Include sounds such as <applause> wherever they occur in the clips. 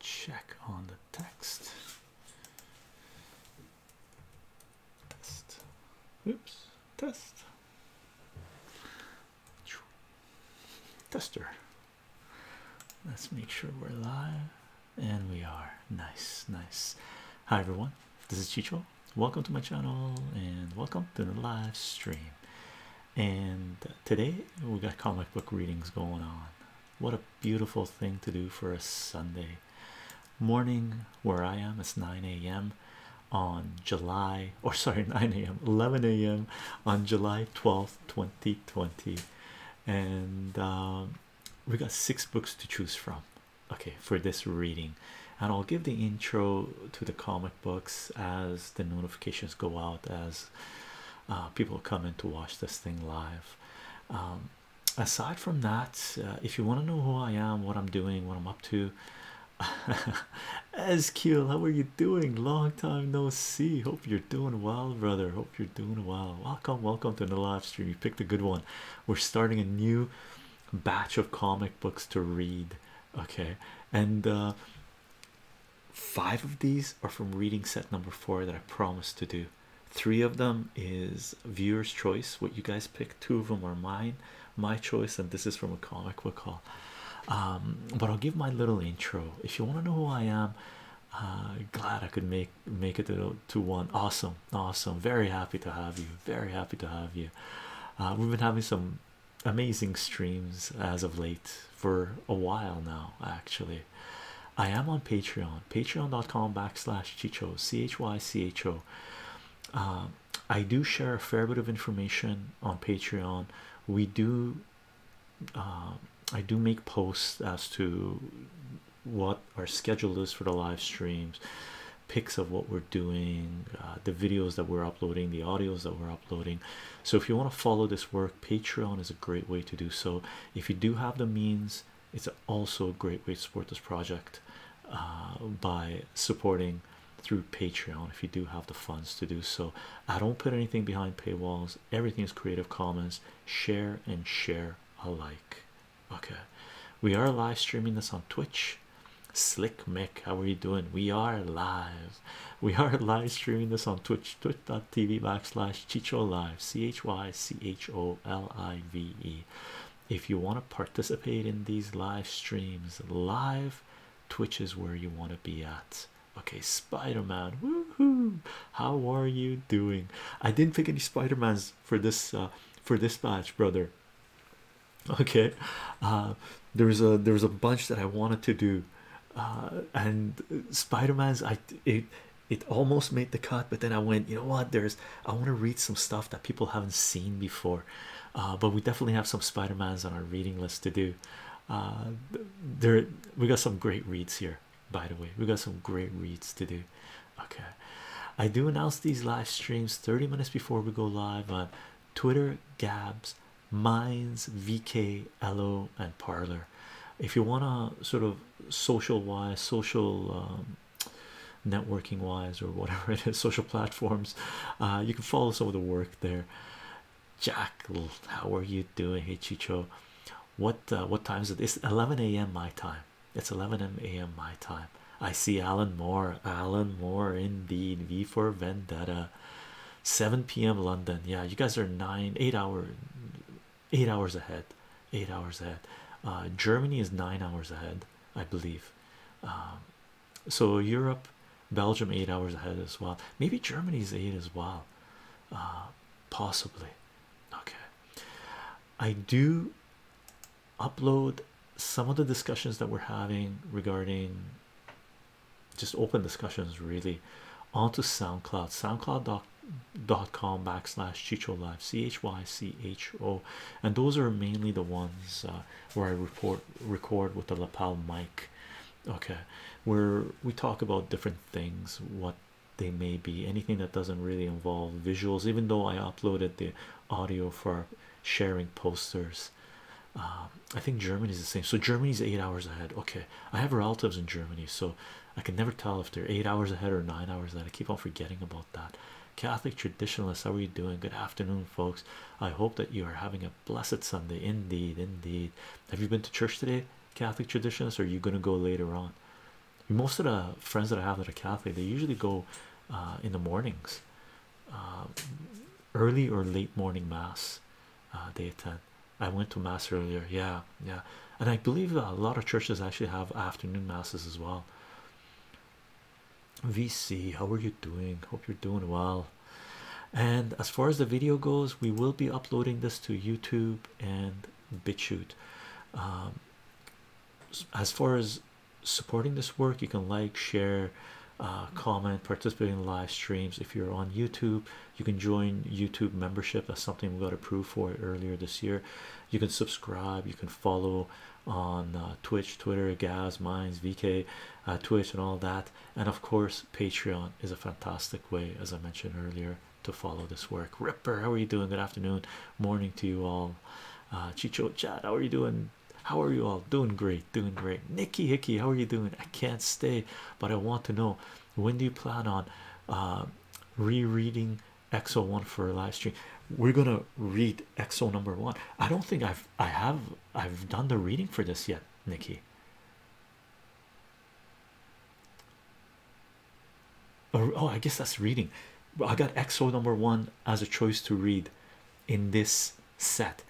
check on the text. Test. Oops. Test. Tester. Let's make sure we're live. And we are. Nice, nice. Hi everyone. This is Chicho. Welcome to my channel and welcome to the live stream. And today we got comic book readings going on. What a beautiful thing to do for a Sunday morning where I am it's 9 a.m. on July or sorry <laughs> 9 a.m. 11 a.m. on July 12th 2020 and um, we got six books to choose from okay for this reading and I'll give the intro to the comic books as the notifications go out as uh, people come in to watch this thing live um, aside from that uh, if you want to know who i am what i'm doing what i'm up to sq <laughs> how are you doing long time no see hope you're doing well brother hope you're doing well welcome welcome to the live stream you picked a good one we're starting a new batch of comic books to read okay and uh, five of these are from reading set number four that I promised to do. Three of them is viewer's choice, what you guys pick. Two of them are mine, my choice, and this is from a comic book haul. Um, but I'll give my little intro. If you want to know who I am, uh, glad I could make make it to, to one. Awesome, awesome. Very happy to have you. Very happy to have you. Uh, we've been having some amazing streams as of late for a while now, actually. I am on Patreon, patreon.com backslash chicho, C H Y C H O. Uh, I do share a fair bit of information on Patreon. We do, uh, I do make posts as to what our schedule is for the live streams, pics of what we're doing, uh, the videos that we're uploading, the audios that we're uploading. So if you want to follow this work, Patreon is a great way to do so. If you do have the means, it's also a great way to support this project uh, by supporting through Patreon if you do have the funds to do so. I don't put anything behind paywalls, everything is Creative Commons. Share and share alike. Okay, we are live streaming this on Twitch. Slick Mick, how are you doing? We are live. We are <laughs> live streaming this on Twitch. Twitch tv backslash chicho live c-h-y-c-h-o-l-i-v-e if you want to participate in these live streams live twitch is where you want to be at okay spider-man woohoo how are you doing i didn't pick any spider-mans for this uh, for this match brother okay uh there's a there's a bunch that i wanted to do uh, and spider-man's i it it almost made the cut but then i went you know what there's i want to read some stuff that people haven't seen before uh, but we definitely have some Spidermans on our reading list to do uh, there we got some great reads here by the way we got some great reads to do okay i do announce these live streams 30 minutes before we go live on twitter gabs minds vk Etsy, and Parlor. If you want to sort of social wise, social um, networking wise, or whatever it is, <laughs> social platforms, uh, you can follow some of the work there. Jack, how are you doing? Hey, Chicho, what uh, what time is it? It's 11 a.m. my time. It's 11 a.m. my time. I see Alan Moore, Alan Moore, indeed. V for Vendetta. 7 p.m. London. Yeah, you guys are nine, eight hour eight hours ahead eight hours ahead uh, germany is nine hours ahead i believe um, so europe belgium eight hours ahead as well maybe germany's eight as well uh, possibly okay i do upload some of the discussions that we're having regarding just open discussions really onto soundcloud soundcloud dot com backslash chicho live c h y c h o and those are mainly the ones uh, where I report record with the lapel mic okay where we talk about different things what they may be anything that doesn't really involve visuals even though I uploaded the audio for sharing posters uh, I think Germany is the same so Germany is eight hours ahead okay I have relatives in Germany so I can never tell if they're eight hours ahead or nine hours ahead. I keep on forgetting about that. Catholic traditionalists, how are you doing? Good afternoon, folks. I hope that you are having a blessed Sunday. Indeed, indeed. Have you been to church today, Catholic traditionalists? are you going to go later on? Most of the friends that I have that are Catholic, they usually go uh, in the mornings, uh, early or late morning mass. they uh, attend. I went to mass earlier. Yeah, yeah, and I believe a lot of churches actually have afternoon masses as well. VC, how are you doing? Hope you're doing well. And as far as the video goes, we will be uploading this to YouTube and BitChute. Um, as far as supporting this work, you can like, share, uh, comment, participate in live streams. If you're on YouTube, you can join YouTube membership. That's something we got approved for earlier this year. You can subscribe. You can follow on uh, Twitch, Twitter, Gaz, Minds, VK, uh, Twitch, and all that. And of course, Patreon is a fantastic way, as I mentioned earlier, to follow this work. Ripper, how are you doing? Good afternoon, morning to you all. Uh, Chicho Chad, how are you doing? How are you all doing? Great, doing great. Nikki Hickey, how are you doing? I can't stay, but I want to know when do you plan on uh, rereading Exo oh One for a live stream? We're gonna read Exo oh Number One. I don't think I've I have I've done the reading for this yet, Nikki. oh, oh I guess that's reading. I got Exo Number One as a choice to read in this set.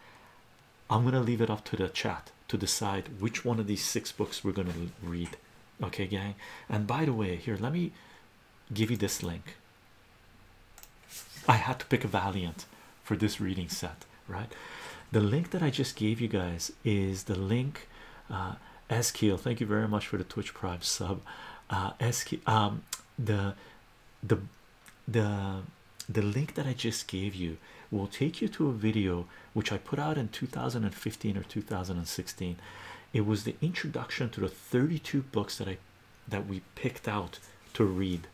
I'm gonna leave it up to the chat to decide which one of these six books we're gonna read okay gang and by the way here let me give you this link i had to pick a valiant for this reading set right the link that i just gave you guys is the link uh Eskil, thank you very much for the twitch prime sub uh Eskil, um, the the the the link that i just gave you will take you to a video which I put out in 2015 or 2016. It was the introduction to the 32 books that I that we picked out to read,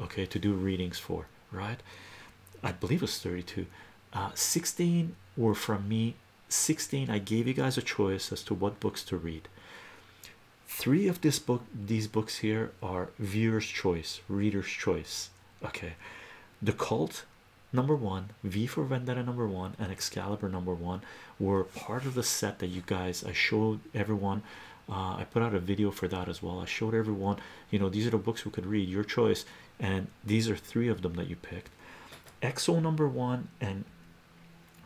okay, to do readings for, right? I believe it was 32. Uh, 16 were from me. 16, I gave you guys a choice as to what books to read. Three of this book, these books here are viewer's choice, reader's choice. Okay, the cult number one, V for Vendetta number one, and Excalibur number one were part of the set that you guys I showed everyone. Uh, I put out a video for that as well. I showed everyone, you know, these are the books we could read, your choice, and these are three of them that you picked. Exo number one and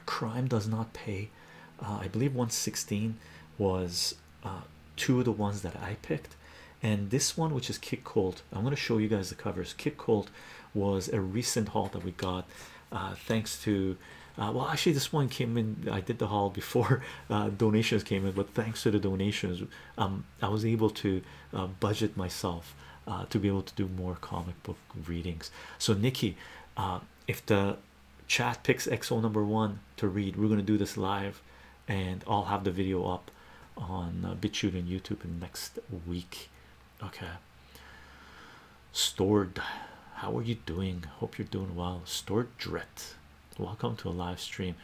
Crime Does Not Pay. Uh, I believe 116 was uh, two of the ones that I picked, and this one, which is Kick Cold, I'm going to show you guys the covers. Kid Colt was a recent haul that we got, uh, thanks to uh, well, actually, this one came in. I did the haul before <laughs> uh, donations came in, but thanks to the donations, um, I was able to budget myself to be able to do more comic book readings. So, Nikki, if the chat picks XO number one to read, we're going to do this live and I'll have the video up on uh, and YouTube in next week okay stored how are you doing hope you're doing well stored drit welcome to a live stream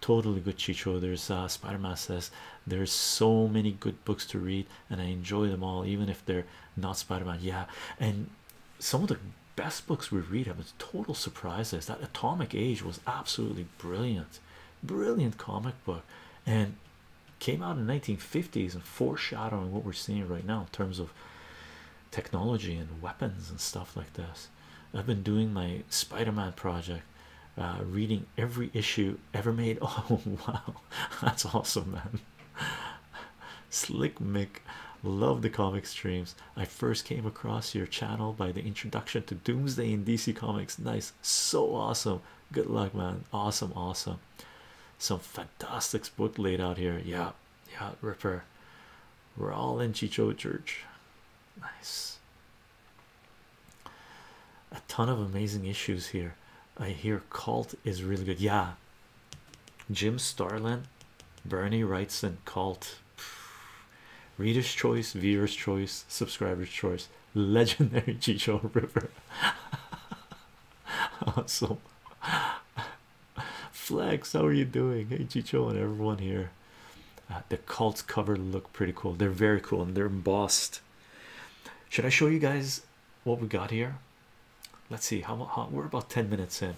totally good chicho there's uh spider-man says there's so many good books to read and i enjoy them all even if they're not spider-man yeah and some of the best books we read have been total surprises that atomic age was absolutely brilliant brilliant comic book and came out in 1950s and foreshadowing what we're seeing right now in terms of technology and weapons and stuff like this. I've been doing my Spider-Man project, uh, reading every issue ever made. <laughs> Oh wow, that's awesome, man! Slick Mick, love the comic streams. I first came across your channel by the introduction to Doomsday in DC Comics. Nice, so awesome. Good luck, man. Awesome, awesome. Some fantastic book laid out here. Yeah, yeah, Ripper. We're all in Chicho Church. Nice. A ton of amazing issues here. I hear Cult is really good. Yeah. Jim Starlin, Bernie Wrightson, Cult. Reader's choice, viewer's choice, subscriber's choice. <laughs> legendary Chicho River. <laughs> awesome. Flex, how are you doing? Hey, Chicho, and everyone here. Uh, the cults cover look pretty cool. They're very cool and they're embossed. Should I show you guys what we got here? Let's see. How, how we're about 10 minutes in.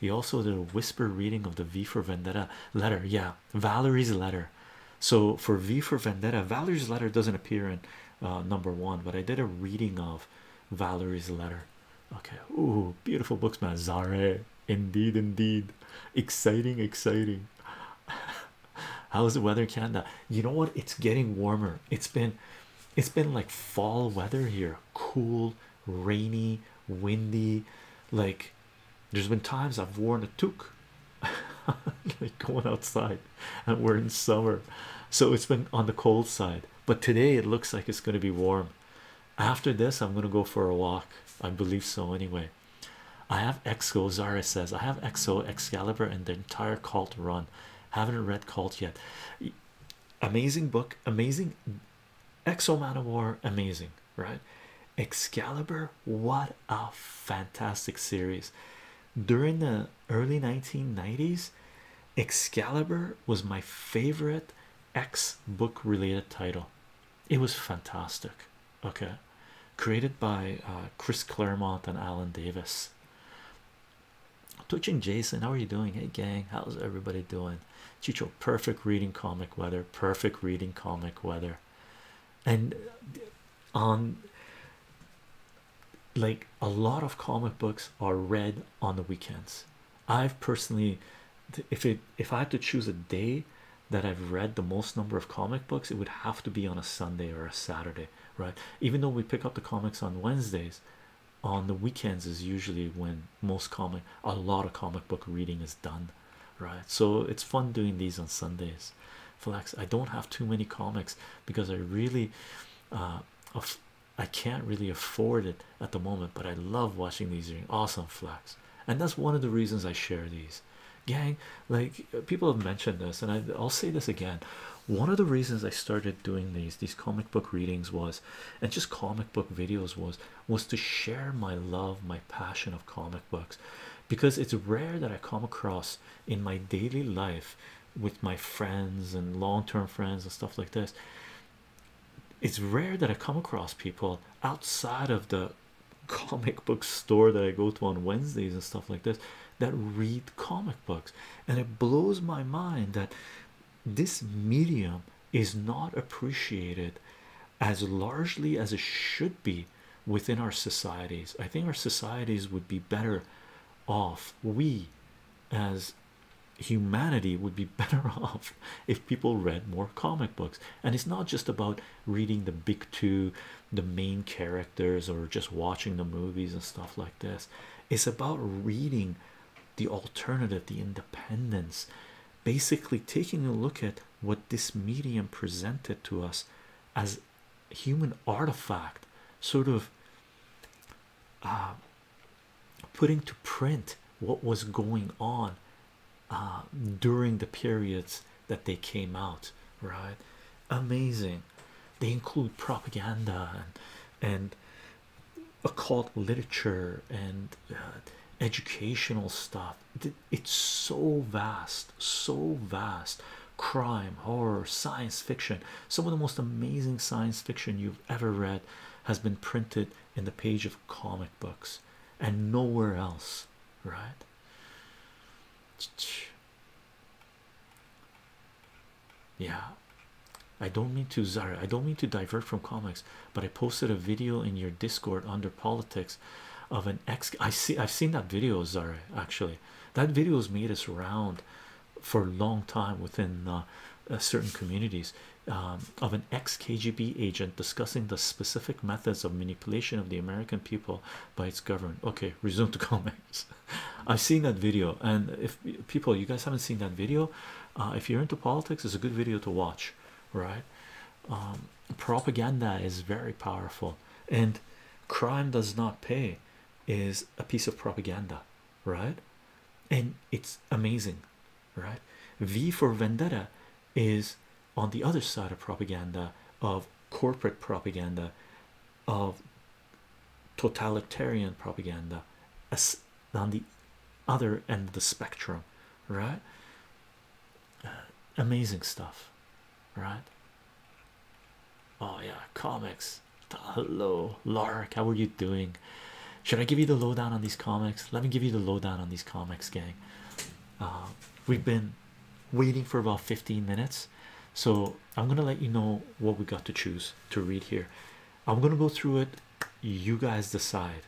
You also did a whisper reading of the V for Vendetta letter. Yeah, Valerie's letter. So for V for Vendetta, Valerie's letter doesn't appear in uh, number one, but I did a reading of Valerie's letter. Okay, ooh, beautiful books, man. Zare, indeed, indeed, exciting, exciting. <laughs> How's the weather, Canada? You know what? It's getting warmer. It's been, it's been like fall weather here. Cool, rainy, windy. Like, there's been times I've worn a toque like <laughs> going outside and we're in summer so it's been on the cold side but today it looks like it's going to be warm after this i'm going to go for a walk i believe so anyway i have exo zara says i have exo excalibur and the entire cult run haven't read cult yet amazing book amazing exo man of war amazing right excalibur what a fantastic series during the early 1990s excalibur was my favorite x book related title it was fantastic okay created by uh, chris claremont and alan davis Touching jason how are you doing hey gang how's everybody doing chicho perfect reading comic weather perfect reading comic weather and on like a lot of comic books are read on the weekends. I've personally, if it if I had to choose a day that I've read the most number of comic books, it would have to be on a Sunday or a Saturday, right? Even though we pick up the comics on Wednesdays, on the weekends is usually when most comic a lot of comic book reading is done, right? So it's fun doing these on Sundays. Flex, I don't have too many comics because I really uh, I can't really afford it at the moment, but I love watching these awesome flags, and that's one of the reasons I share these. Gang, like people have mentioned this, and I, I'll say this again. One of the reasons I started doing these these comic book readings was, and just comic book videos was, was to share my love, my passion of comic books, because it's rare that I come across in my daily life with my friends and long-term friends and stuff like this it's rare that i come across people outside of the comic book store that i go to on wednesdays and stuff like this that read comic books and it blows my mind that this medium is not appreciated as largely as it should be within our societies i think our societies would be better off we as humanity would be <laughs> better off if people read more comic books and it's not just about reading the big two the main characters or just watching the movies and stuff like this it's about reading the alternative the independence basically taking a look at what this medium presented to us as human artifact sort of uh, putting to print what was going on uh, during the periods that they came out right amazing they include propaganda and, occult literature and uh, educational stuff it's so vast so vast crime, horror, science fiction. Some of the most amazing science fiction you've ever read has been printed in the page of comic books and nowhere else, right? Yeah, I don't mean to Zara, I don't mean to divert from comics, but I posted a video in your Discord under politics of an ex. I see, I've seen that video, Zara. Actually, that video's made us round for a long time within uh, uh, certain communities um, of an ex KGB agent discussing the specific methods of manipulation of the American people by its government. Okay, <laughs> resume the comments. I've seen that video, and if people you guys haven't seen that video, uh, if you're into politics, it's a good video to watch, right? Um, propaganda is very powerful, and crime does not pay is a piece of propaganda, right? And it's amazing, right? V for Vendetta is on the other side of propaganda, of corporate propaganda, of totalitarian propaganda, as on the other end of the spectrum, right? Uh, amazing stuff, right? Oh yeah, comics. Hello, Lark. How are you doing? Should I give you the lowdown on these comics? Let me give you the lowdown on these comics, gang. Uh, we've been waiting for about 15 minutes, so I'm gonna let you know what we got to choose to read here. I'm gonna go through it, you guys decide,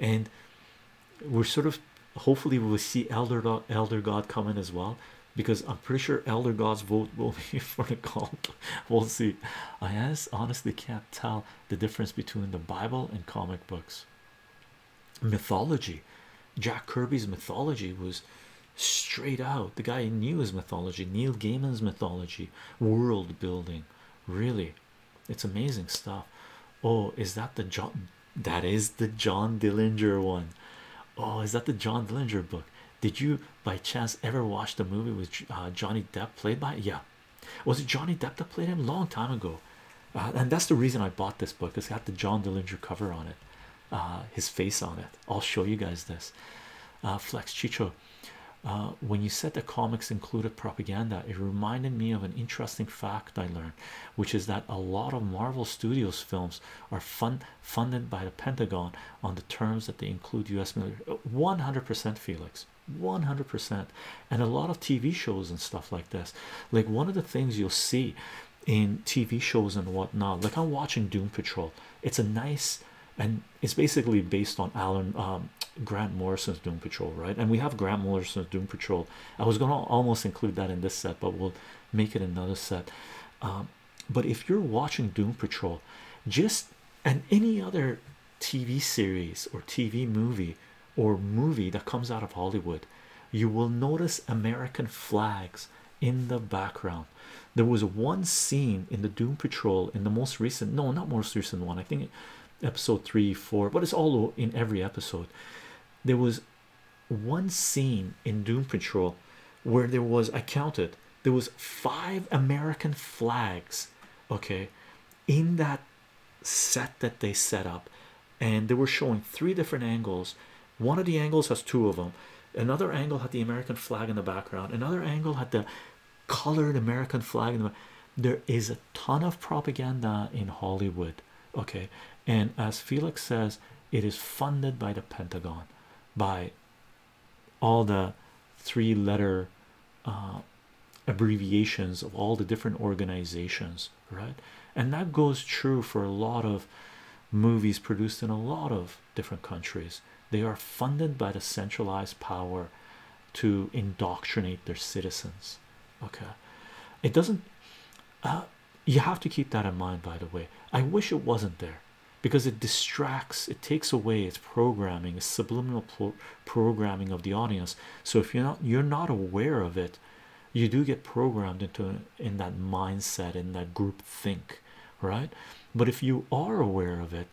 and we're sort of hopefully we'll see Elder, Elder God coming as well because I'm pretty sure elder gods vote will be <laughs> for the cult. We'll see. I ask, honestly can't tell the difference between the Bible and comic books. Mythology, Jack Kirby's mythology was straight out. The guy knew his mythology, Neil Gaiman's mythology, world building. Really, it's amazing stuff. Oh, is that the John? That is the John Dillinger one. Oh, is that the John Dillinger book? Did you by chance ever watch the movie with uh, Johnny Depp played by? Yeah, was it Johnny Depp that played him long time ago? Uh, and that's the reason I bought this book. It's got the John Dillinger cover on it, uh, his face on it. I'll show you guys this. Flex Chicho, when you said the comics included propaganda, it reminded me of an interesting fact I learned, which is that a lot of Marvel Studios films are fun funded by the Pentagon on the terms that they include US military 100% Felix 100% and a lot of TV shows and stuff like this like one of the things you'll see in TV shows and whatnot like I'm watching Doom Patrol it's a nice and it's basically based on Alan um, Grant Morrison's Doom Patrol right and we have Grant Morrison's Doom Patrol I was gonna almost include that in this set but we'll make it another set um, but if you're watching Doom Patrol, just and any other TV series or TV movie or movie that comes out of Hollywood, you will notice American flags in the background. There was one scene in the Doom Patrol in the most recent, no, not most recent one, I think episode three, four, but it's all in every episode. There was one scene in Doom Patrol where there was, I counted there was five American flags okay in that set that they set up and they were showing three different angles one of the angles has two of them another angle had the American flag in the background another angle had the colored American flag there is a ton of propaganda in Hollywood okay and as Felix says it is funded by the Pentagon by all the three letter uh, abbreviations of all the different organizations, right? And that goes true for a lot of movies produced in a lot of different countries. They are funded by the centralized power to indoctrinate their citizens. Okay, it doesn't. Uh, you have to keep that in mind, by the way. I wish it wasn't there because it distracts it takes away its programming its subliminal programming of the audience so if you're not you're not aware of it you do get programmed into in that mindset in that group think right but if you are aware of it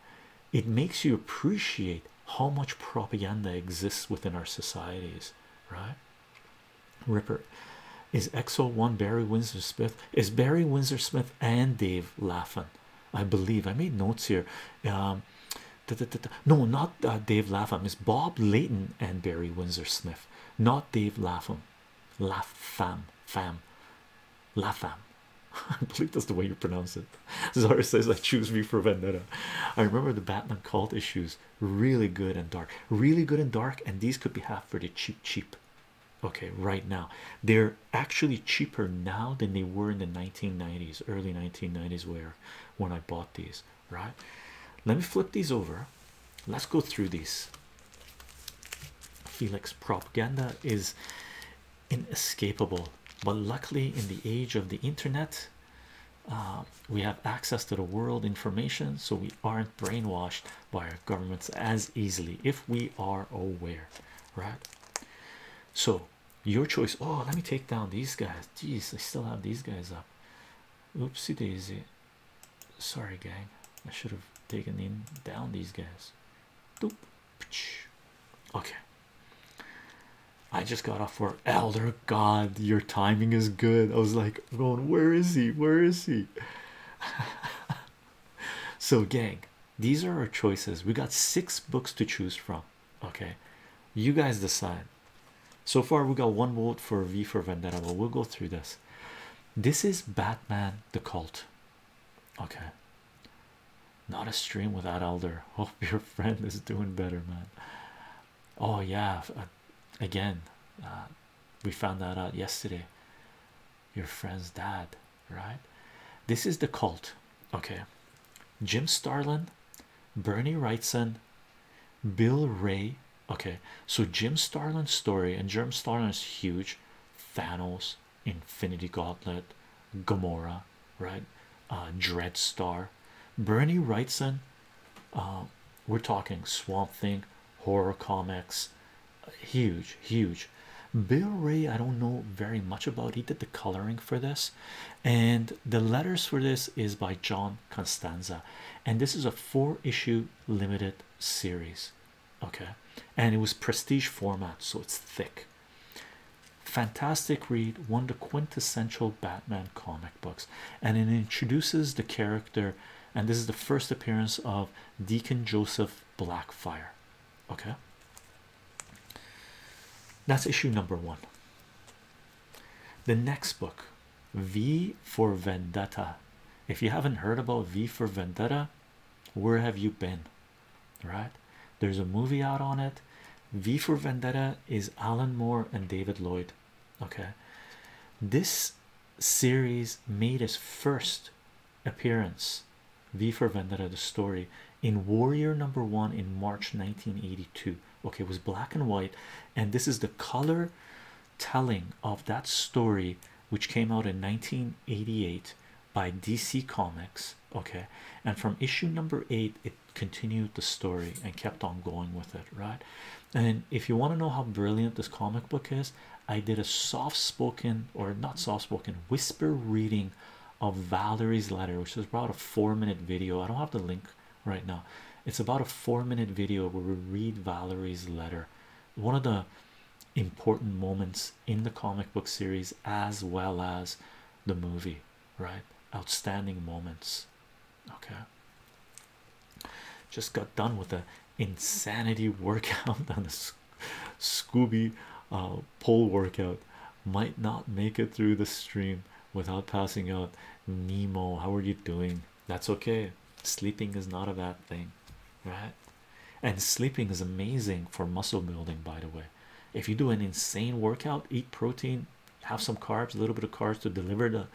it makes you appreciate how much propaganda exists within our societies right ripper is exo one barry windsor smith is barry windsor smith and dave laughing I believe I made notes here. Um, no, not uh, Dave Lapham. It's Bob Leighton and Barry Windsor Smith, not Dave Lapham. Lapham, fam, Lapham. <laughs> I believe that's the way you pronounce it. Zara <laughs> says, "I choose me for vendetta." I remember the Batman cult issues, really good and dark, really good and dark, and these could be half pretty cheap, cheap okay right now they're actually cheaper now than they were in the 1990s early 1990s where when i bought these right let me flip these over let's go through these felix propaganda is inescapable but luckily in the age of the internet uh, we have access to the world information so we aren't brainwashed by our governments as easily if we are aware right so your choice. Oh, let me take down these guys. Jeez, I still have these guys up. Oopsie daisy. Sorry, gang. I should have taken in down these guys. Okay. I just got off for Elder God. Your timing is good. I was like, going, where is he? Where is he? <laughs> so gang these are our choices we got six books to choose from okay you guys decide so far we got one vote for v for vendetta but we'll go through this this is batman the cult okay not a stream without elder <laughs> hope your friend is doing better man oh yeah uh, again uh, we found that out yesterday your friend's dad, right? This is the cult, okay? Jim Starlin, Bernie Wrightson, Bill Ray. Okay, so Jim Starlin's story and Jim Starlin is huge. Thanos, Infinity Gauntlet, Gamora, right? Uh, Star, Bernie Wrightson. Uh, we're talking Swamp Thing, horror comics, huge huge bill ray i don't know very much about he did the coloring for this and the letters for this is by john constanza and this is a four issue limited series okay and it was prestige format so it's thick fantastic read one of the quintessential batman comic books and it introduces the character and this is the first appearance of deacon joseph blackfire Okay, that's issue number one. The next book, V for Vendetta. If you haven't heard about V for Vendetta, where have you been? Right, there's a movie out on it. V for Vendetta is Alan Moore and David Lloyd. Okay, this series made us first appearance v for vendetta the story in warrior number one in march 1982 okay it was black and white and this is the color telling of that story which came out in 1988 by dc comics okay and from issue number eight it continued the story and kept on going with it right and if you want to know how brilliant this comic book is i did a soft-spoken or not soft-spoken whisper reading of Valerie's letter, which is about a four minute video. I don't have the link right now, it's about a four minute video where we read Valerie's letter, one of the important moments in the comic book series as well as the movie, right? Outstanding moments. Okay, just got done with an insanity workout <laughs> on the Scooby uh, pole workout might not make it through the stream without passing out. Nemo, how are you doing? That's okay. Sleeping is not a bad thing, right? And sleeping is amazing for muscle building, by the way. If you do an insane workout, eat protein, have some carbs, a little bit of carbs to deliver the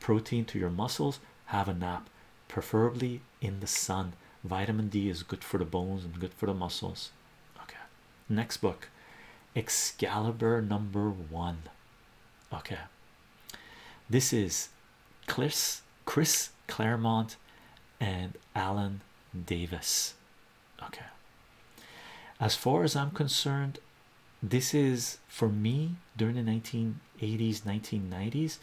protein to your muscles, have a nap, preferably in the sun. Vitamin D is good for the bones and good for the muscles. Okay, next book Excalibur number one. Okay, this is Chris, Chris Claremont and Alan Davis. Okay, as far as I'm concerned, this is for me during the 1980s, 1990s.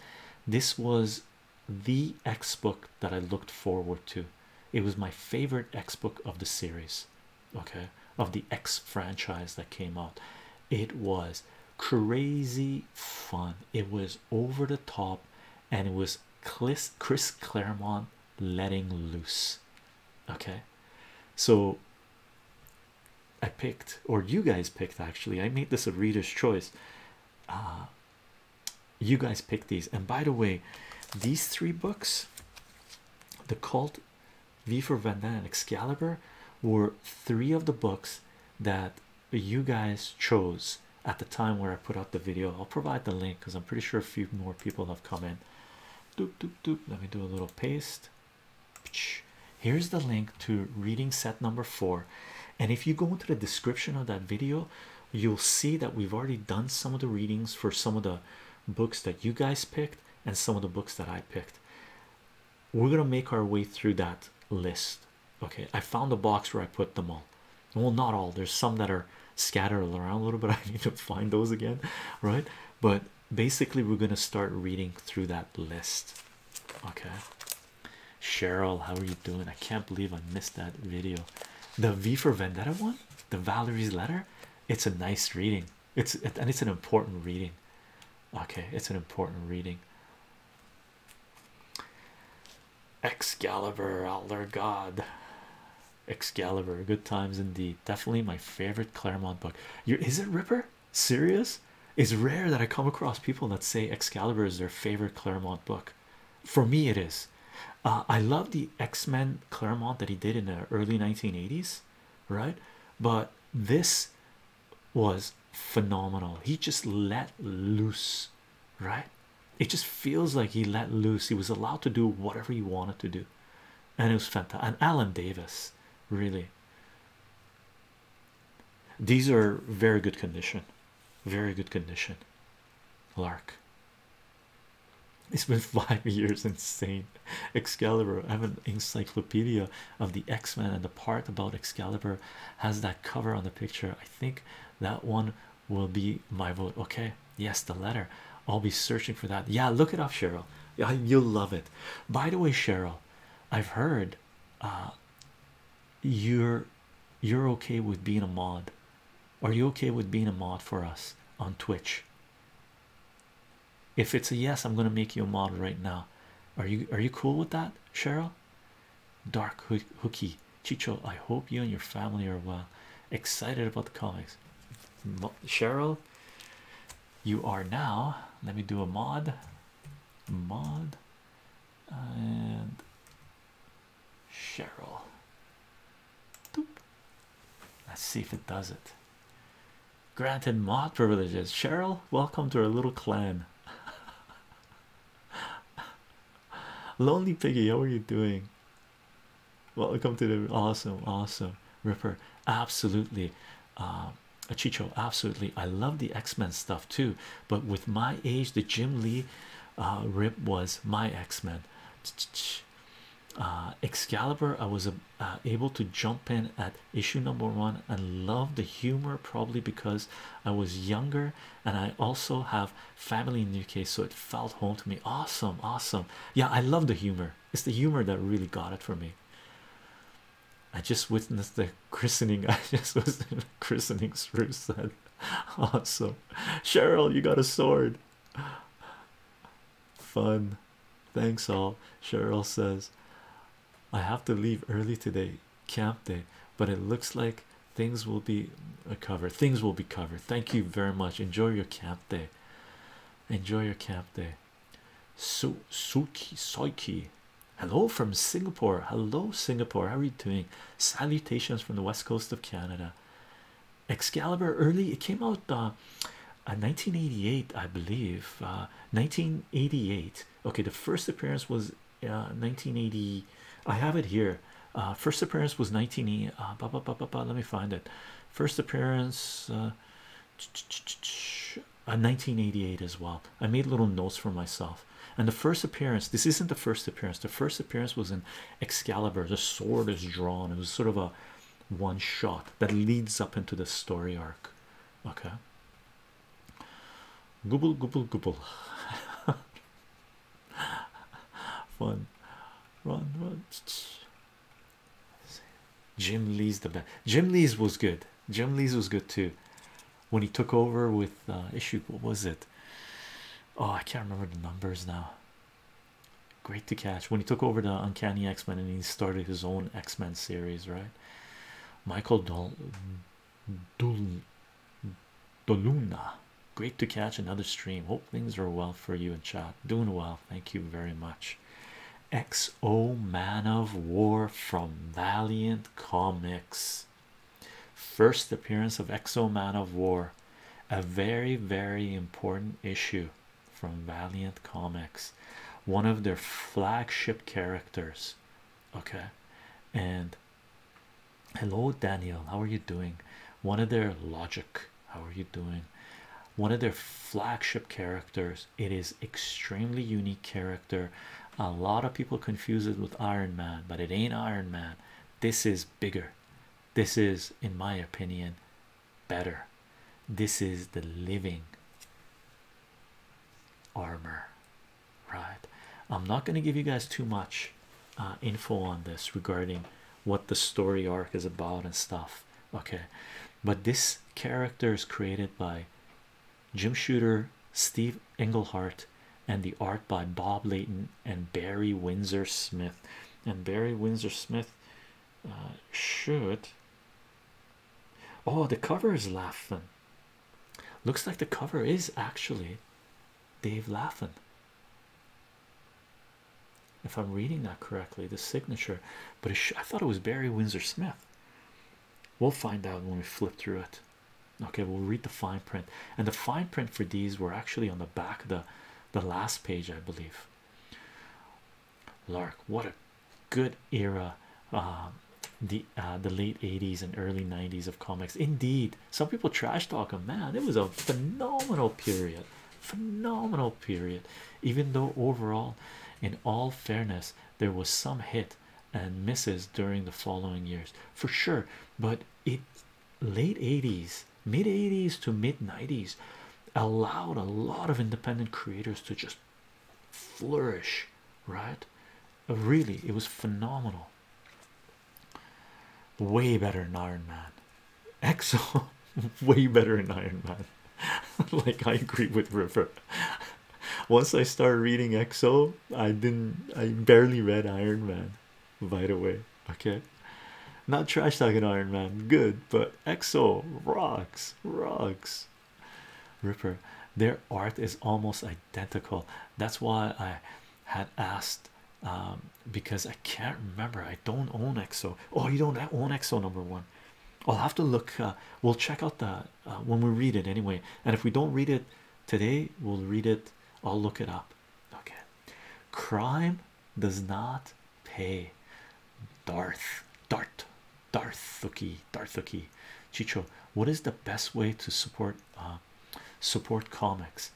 This was the X book that I looked forward to. It was my favorite X book of the series, okay, of the X franchise that came out. It was crazy fun, it was over the top, and it was Chris, Claremont letting loose. Okay, so I picked, or you guys picked actually, I made this a reader's choice. Uh, you guys pick these. And by the way, these three books, The Cult, V for Vendetta, and Excalibur, were three of the books that you guys chose at the time where I put out the video. I'll provide the link because I'm pretty sure a few more people have come in. Doop, doop, doop. Let me do a little paste. Here's the link to reading set number four. And if you go into the description of that video, you'll see that we've already done some of the readings for some of the books that you guys picked and some of the books that I picked. We're gonna make our way through that list. Okay, I found the box where I put them all. Well, not all, there's some that are scattered around a little bit. <laughs> I need to find those again, right? But basically, we're gonna start reading through that list. Okay, Cheryl, how are you doing? I can't believe I missed that video. The V for Vendetta one? the valerie's letter it's a nice reading it's and it's an important reading okay it's an important reading excalibur elder god excalibur good times indeed definitely my favorite claremont book you is it ripper serious it's rare that i come across people that say excalibur is their favorite claremont book for me it is uh, i love the x-men claremont that he did in the early 1980s right but this was phenomenal he just let loose right it just feels like he let loose he was allowed to do whatever he wanted to do and it was Fanta and alan davis really these are very good condition very good condition lark it's been <laughs> five years, insane. Excalibur, I have an encyclopedia of the X Men, and the part about Excalibur has that cover on the picture. I think that one will be my vote. Okay, yes, the letter. I'll be searching for that. Yeah, look it up, Cheryl. Yeah, you'll love it. By the way, Cheryl, I've heard uh, you're you're okay with being a mod are you okay with being a mod for us on Twitch? If it's a yes, I'm gonna make you a mod right now. Are you are you cool with that, Cheryl? Dark hook Chicho. I hope you and your family are well. Excited about the comics. Cheryl, you are now. Let me do a mod. Mod and Cheryl. Let's see if it does it. Granted mod privileges. Cheryl, welcome to our little clan. <laughs> Lonely Piggy, how are you doing? Welcome to the awesome, awesome Ripper. Absolutely. Uh, Chicho, absolutely. I love the X Men stuff too, but with my age, the Jim Lee uh, rip was my X Men uh, Excalibur, I was uh, uh, able to jump in at issue number one and love the humor probably because I was younger and I also have family in the UK, so it felt home to me. Awesome, awesome. Yeah, I love the humor, it's the humor that really got it for me. I just witnessed the <laughs> christening. I just was <laughs> christening. Screw said, <laughs> awesome. Cheryl, you got a sword. Fun. Thanks all. Cheryl says, I have to leave early today, camp day, but it looks like things will be a uh, cover. Things will be covered. Thank you very much. Enjoy your camp day. Enjoy your camp day. So Suki Soiki. Hello from Singapore. Hello, Singapore. How are you doing? Salutations from the west coast of Canada. Excalibur early it came out uh, uh 1988 I believe 1988 uh, okay the first appearance was uh 1980 I have it here uh first appearance was nineteen eighty. bah, uh, bah, bah, bah, bah, let me find it first appearance uh, 1988 uh, as well I made little notes for myself and the first appearance this isn't the first appearance the first appearance was in Excalibur, the sword is drawn. It was sort of a one shot that leads up into the story arc. Okay. Google, Google, Google. Fun. Run, run. Jim Lee's the best. Jim Lee's was good. Jim Lee's was good too. When he took over with uh, issue, what was it? Oh, I can't remember the numbers now. Great to catch when he took over the Uncanny X Men and he started his own X Men series, right? Michael Dol Doluna, great to catch another stream. Hope things are well for you and chat. Doing well, thank you very much. XO Man of War from Valiant Comics. First appearance of XO Man of War a very very important issue from Valiant Comics, one of their flagship characters. Okay, and hello, Daniel. How are you doing? One of their logic, how are you doing? One of their flagship characters, it is extremely unique character. A lot of people confuse it with Iron Man, but it ain't Iron Man. This is bigger. This is, in my opinion, better. This is the living armor, right? I'm not going to give you guys too much uh, info on this regarding what the story arc is about and stuff, okay? But this character is created by Jim Shooter, Steve Englehart, and the art by Bob Layton and Barry Windsor Smith. And Barry Windsor Smith uh, should oh the cover is laughing looks like the cover is actually Dave laughing if I'm reading that correctly the signature but I thought it was Barry Windsor Smith we'll find out when we flip through it okay we'll read the fine print and the fine print for these were actually on the back of the the last page I believe Lark, what a good era! Uh, the uh, the late 80s and early 90s of comics, indeed. Some people trash talk a man, it was a phenomenal period, phenomenal period, even though overall, in all fairness, there was some hit and misses during the following years for sure, but it late 80s mid 80s to mid 90s allowed a lot of independent creators to just flourish right really it was phenomenal way better than iron man exo <laughs> way better than iron man <laughs> like i agree with river once i started reading exo i didn't i barely read iron man by the way okay not trash talking iron man good but exo rocks rocks ripper their art is almost identical that's why i had asked um, because i can't remember i don't own exo oh you don't own exo number one i'll have to look uh, we'll check out that uh, when we read it anyway and if we don't read it today we'll read it i'll look it up okay crime does not pay. Darth, Dart, Darthuki, Darthuki, Chicho. What is the best way to support uh, support comics?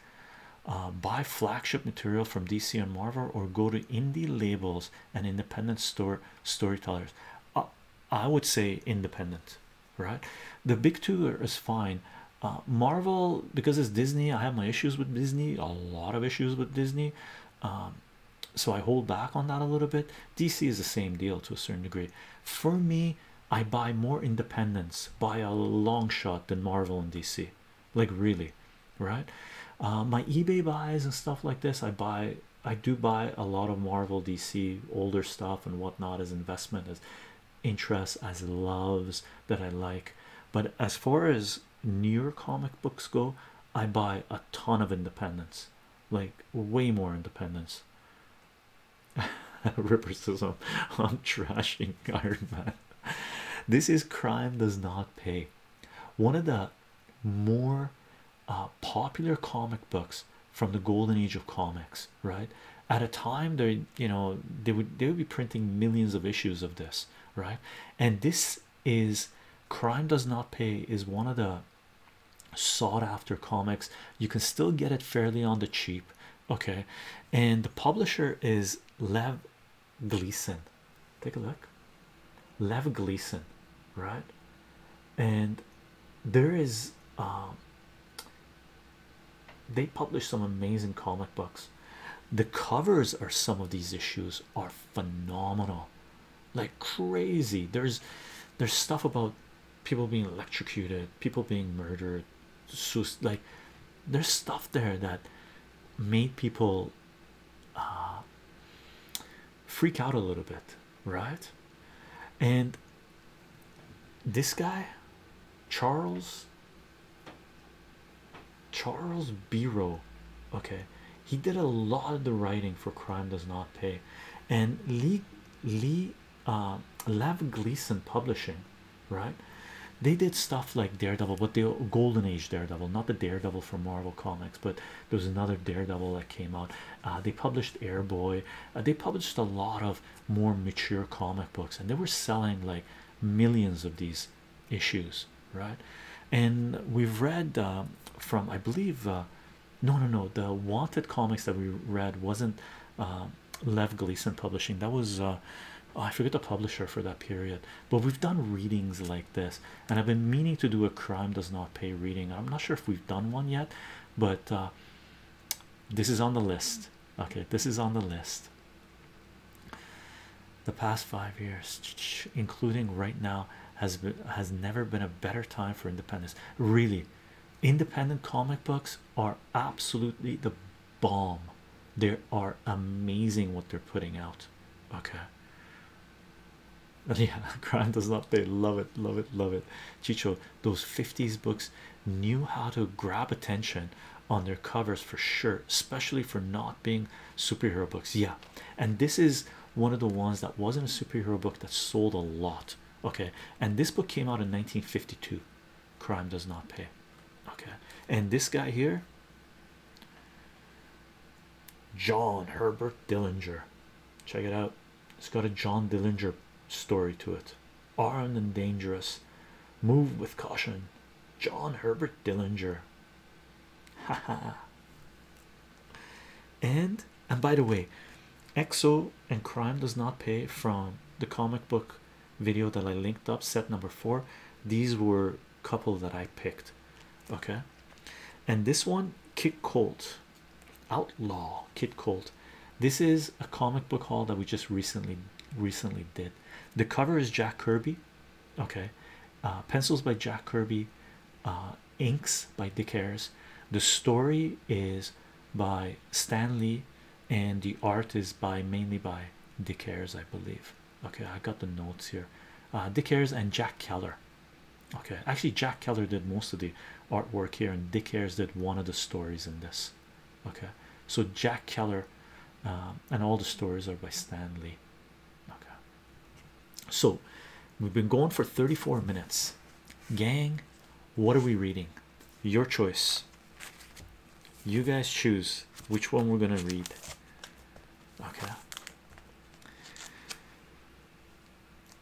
Uh, buy flagship material from DC and Marvel, or go to indie labels and independent store storytellers. Uh, I would say independent, right? The big two is fine. Marvel because it's Disney. I have my issues with Disney. A lot of issues with Disney. Um, so I hold back on that a little bit DC is the same deal to a certain degree for me I buy more independence by a long shot than Marvel and DC like really right uh, my eBay buys and stuff like this I buy I do buy a lot of Marvel DC older stuff and whatnot as investment as interests as loves that I like but as far as Near comic books go, I buy a ton of independence, like way more independence. <laughs> Ripper I'm, trashing Iron Man. This is crime does not pay. One of the more uh, popular comic books from the golden age of comics, right? At a time, they you know they would they would be printing millions of issues of this, right? And this is crime does not pay is one of the sought after comics you can still get it fairly on the cheap okay and the publisher is lev gleason take a look lev gleason right and there is um, they publish some amazing comic books the covers are some of these issues are phenomenal like crazy there's there's stuff about people being electrocuted people being murdered so like there's stuff there that made people uh, freak out a little bit right and this guy charles Charles Biro. Okay, he did a lot of the writing for Crime Does Not Pay, and Lee Lee uh, Lav Gleason Publishing, right? They did stuff like Daredevil, but the Golden Age Daredevil, not the Daredevil from Marvel Comics, but there was another Daredevil that came out. Uh, they published Airboy. Uh, they published a lot of more mature comic books, and they were selling like millions of these issues, right? And we've read uh, from, I believe, uh, no, no, no, the Wanted comics that we read wasn't uh, Lev Gleason publishing. That was oh, I forget the publisher for that period. But we've done readings like this, and I've been meaning to do a crime does not pay reading. I'm not sure if we've done one yet, but this is on the list. Okay, this is on the list the past five years including right now has has never been a better time for independence really independent comic books are absolutely the bomb they are amazing what they're putting out okay <laughs> yeah grant does not they love it love it love it chicho those 50s books knew how to grab attention on their covers for sure especially for not being superhero books yeah and this is one of the ones that wasn't a superhero book that sold a lot okay and this book came out in 1952 crime does not pay okay and this guy here John Herbert Dillinger check it out it's got a John Dillinger story to it armed and dangerous move with caution John Herbert Dillinger Haha. <laughs> and and by the way, Exo and Crime does not pay from the comic book video that I linked up, set number four. These were couple that I picked. Okay. And this one, Kid Colt. Outlaw Kid Colt. This is a comic book haul that we just recently recently did. The cover is Jack Kirby okay uh, pencils by Jack Kirby uh, inks by Dick Ayers the story is by Stan Lee and the art is by mainly by Dick Ayers I believe okay I got the notes here uh, Dick Ayers and Jack Keller okay actually Jack Keller did most of the artwork here and Dick Ayers did one of the stories in this okay so Jack Keller uh, and all the stories are by Stan Lee Okay, so we've been going for 34 minutes, gang. What are we reading? Your choice. You guys choose which one we're gonna read. Okay,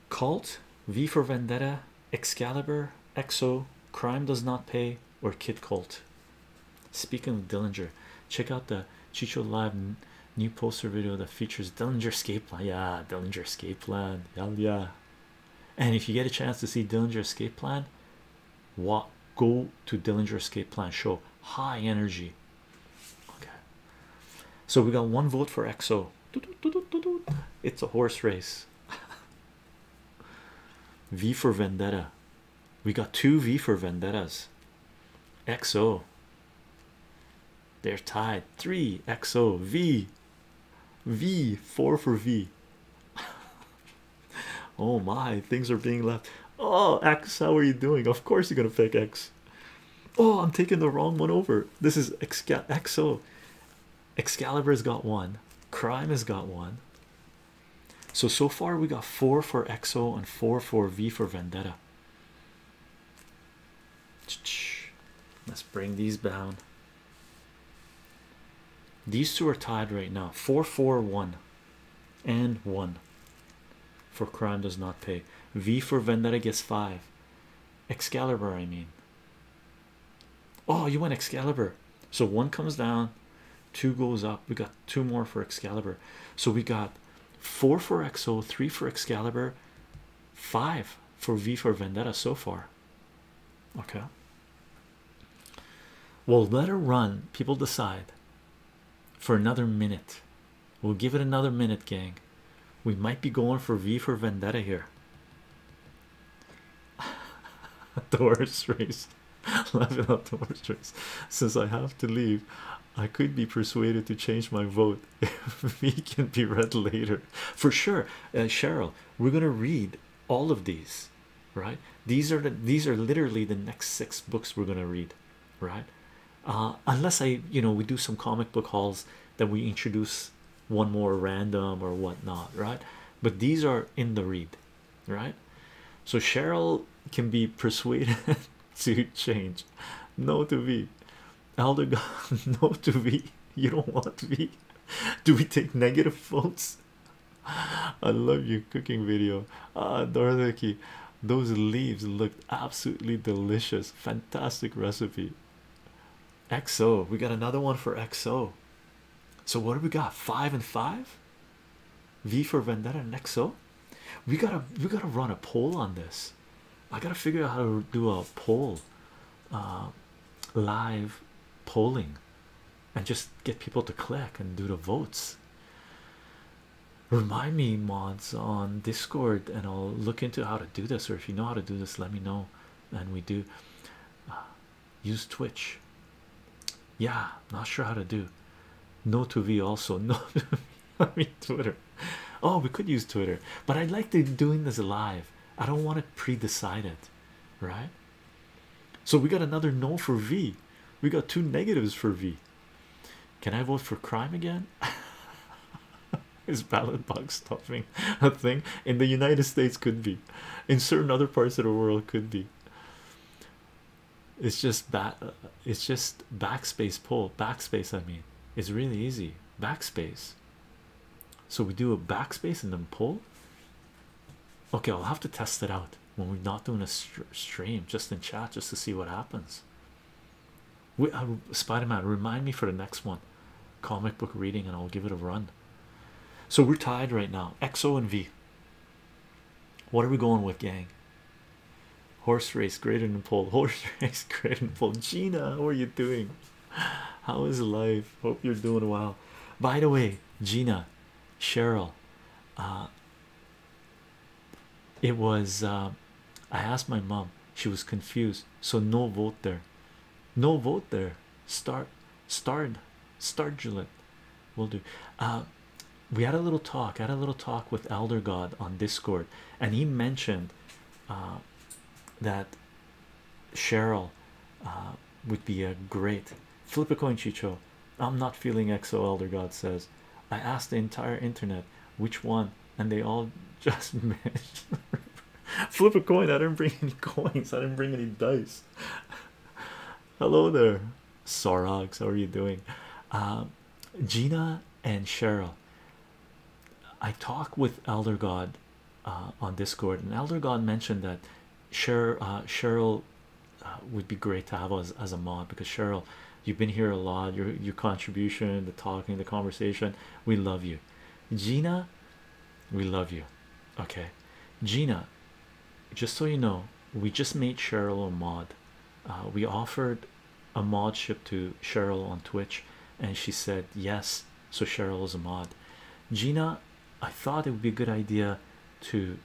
Cult, V for Vendetta, Excalibur, Exo, Crime Does Not Pay, or Kid Cult. Speaking of Dillinger, check out the Chicho Live new poster video that features Dillinger Escape Plan. Yeah, Dillinger Escape Plan. Hell yeah. And if you get a chance to see Dillinger Escape Plan, walk go to Dillinger Escape Plan show. High energy. Okay. So we got one vote for EXO. It's a horse race. <laughs> v for Vendetta. We got two V for Vendettas. EXO. They're tied. Three O V, four for V. <laughs> oh my, things are being left. Oh X, how are you doing? Of course you're gonna pick X. Oh, I'm taking the wrong one over. This is Excal XO. Excalibur's got one. Crime has got one. So so far we got four for XO and four for V for Vendetta. Let's bring these down. These two are tied right now 441 and 1 for crime does not pay. V for Vendetta gets 5. Excalibur, I mean. Oh, you want Excalibur. So one comes down, two goes up. We got two more for Excalibur. So we got four for XO, three for Excalibur, five for V for Vendetta so far. Okay, Well, let her run. People decide for another minute. We'll give it another minute, gang. We might be going for V for Vendetta here. <laughs> the horse race, <laughs> laughing at the horse race. Since I have to leave, I could be persuaded to change my vote <laughs> if we can be read later for sure. Uh, Cheryl, we're gonna read all of these, right? These are these are literally the next six books we're gonna read, right? Uh, unless I, you know, we do some comic book hauls that we introduce one more random or whatnot, right? But these are in the read, right? So Cheryl can be persuaded <laughs> <laughs> to change. No to V. Elder <laughs> no to V. You don't want V. <laughs> Do we take negative votes? I love your cooking video. Ah, Dorothy, those leaves looked absolutely delicious. Fantastic recipe. XO, we got another one for XO. So, what do we got? Five and five? V for Vendetta and XO? we gotta we gotta run a poll on this i gotta figure out how to do a poll uh, live polling and just get people to click and do the votes remind me mods on discord and i'll look into how to do this or if you know how to do this let me know and we do uh, use twitch yeah not sure how to do no to v also <laughs> no <laughs> I mean Twitter. Oh, we could use Twitter, but I'd like to doing this live. I don't want to pre it, right? So we got another no for V. We got two negatives for V. Can I vote for crime again? <laughs> Is ballot box stuffing a thing in the United States? Could be in certain other parts of the world, could be. It's just back. Uh, it's just backspace pull, backspace. I mean, it's really easy. Backspace. So we do a backspace and then pull. Okay, I'll have to test it out when we're not doing a stream, just in chat, just to see what happens. We uh, Spider-Man, remind me for the next one, comic book reading, and I'll give it a run. So we're tied right now. XO and V. What are we going with, gang? Horse race greater than pole. <laughs> Horse race greater than pole. Gina, how are you doing? How is life? Hope you're doing well. By the way, Gina, Cheryl, uh, it was. Uh, I asked my mom. She was confused. So no vote there. No vote there. Start, start, start, Juliet. We'll do. Uh, we had a little talk. had a little talk with Elder God on Discord, and he mentioned uh, that Cheryl uh, would be a great flip a coin, Chicho. I'm not feeling EXO. Elder God says, I asked the entire internet which one, and they all <laughs> just missed. flip a coin. I didn't bring any <laughs> coins, I didn't bring any dice. <laughs> Hello there, Sorogs. How are you doing? Uh, Gina and Cheryl I talk with Elder God uh, on Discord, and Elder God mentioned that Cheryl, uh, uh, would be great to have as, as a mod because Cheryl, you've been here a lot. Your your contribution, the talking, the conversation, we love you. Gina, we love you. Okay, Gina, just so you know, we just made Cheryl a mod uh, we offered a mod ship to Cheryl on Twitch and she said yes so Cheryl's a mod Gina I thought it would be a good idea to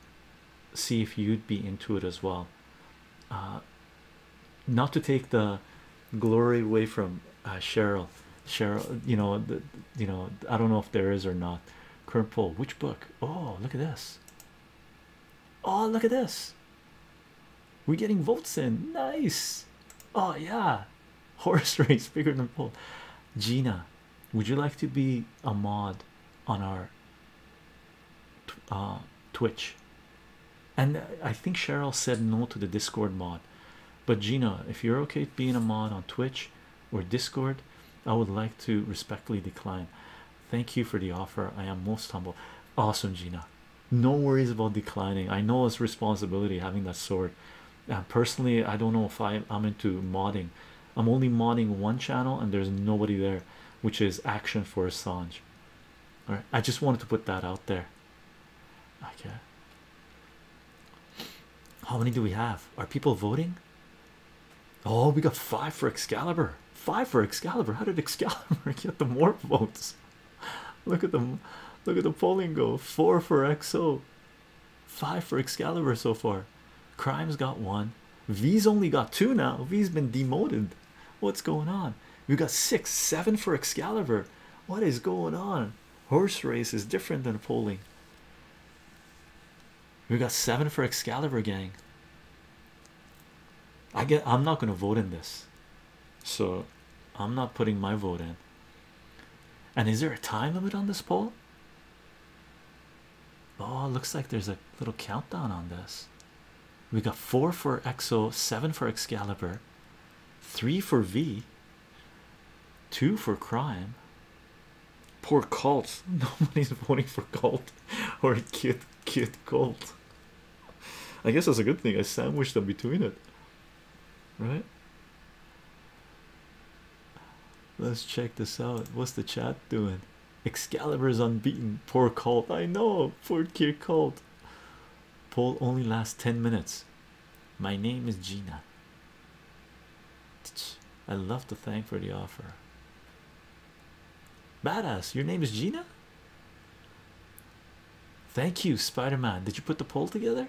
see if you'd be into it as well uh, not to take the glory away from uh, Cheryl Cheryl you know the, you know I don't know if there is or not current poll which book oh look at this oh look at this we're getting votes in. Nice. Oh yeah. Horse <laughs> race bigger than pole. Gina, would you like to be a mod on our uh, Twitch? And I think Cheryl said no to the Discord mod. But Gina, if you're okay being a mod on Twitch or Discord, I would like to respectfully decline. Thank you for the offer. I am most humble. Awesome, Gina no worries about declining i know it's responsibility having that sword uh, personally i don't know if i'm into modding i'm only modding one channel and there's nobody there which is action for assange all right i just wanted to put that out there okay how many do we have are people voting oh we got five for excalibur five for excalibur how did excalibur <laughs> get the more votes <laughs> look at them look at the polling go four for EXO, five for excalibur so far crime's got one v's only got two now v's been demoted what's going on we got six seven for excalibur what is going on horse race is different than polling we got seven for excalibur gang i get i'm not going to vote in this so I'm not putting my vote in. And is there a time limit on this poll? Oh, looks like there's a little countdown on this. We got four for Exo, seven for Excalibur, three for V, two for Crime. Poor Colt. <laughs> Nobody's voting for Cult or Kid Kid Cult. I guess that's a good thing. I sandwiched them between it, right? Let's check this out. What's the chat doing? Excalibur's unbeaten. Poor Colt. I know. Poor Kier Colt. Poll only lasts 10 minutes. My name is Gina. I love to thank for the offer. Badass, your name is Gina? Thank you, Spider Man. Did you put the poll together?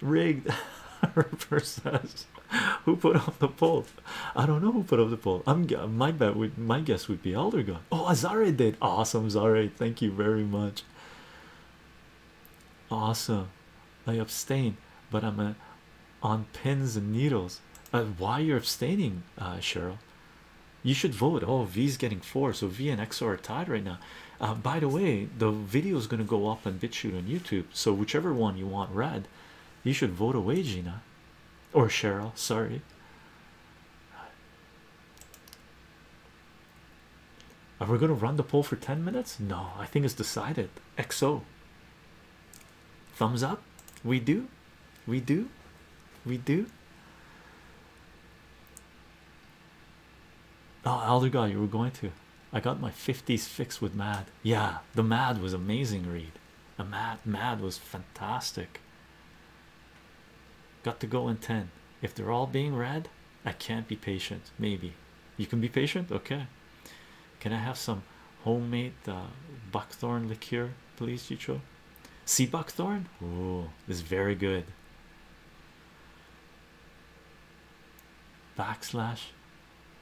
Rigged. <laughs> who put up the poll? I don't know who put up the poll. I'm my bet my guess would be Eldergon. Oh, Azare did awesome. Azare, thank you very much. Awesome. I abstain, but I'm uh, on pins and needles. Uh, why you're abstaining, uh, Cheryl? you should vote. Oh, V is getting four, so V and X are tied right now. Uh, by the way, the video is going to go up on BitChute on YouTube, so whichever one you want red, you should vote away, Gina or Cheryl. Sorry, are we going to run the poll for 10 minutes? No, I think it's decided. XO, thumbs up. We do, we do, we do. Oh, Elder you were going to. I got my 50s fixed with Mad. Yeah, the Mad was amazing read. The Mad Mad was fantastic. Got to go in 10. If they're all being read, I can't be patient. Maybe you can be patient. Okay. Can I have some homemade uh, buckthorn liqueur, please, Chicho? See buckthorn? Oh, is very good. Backslash,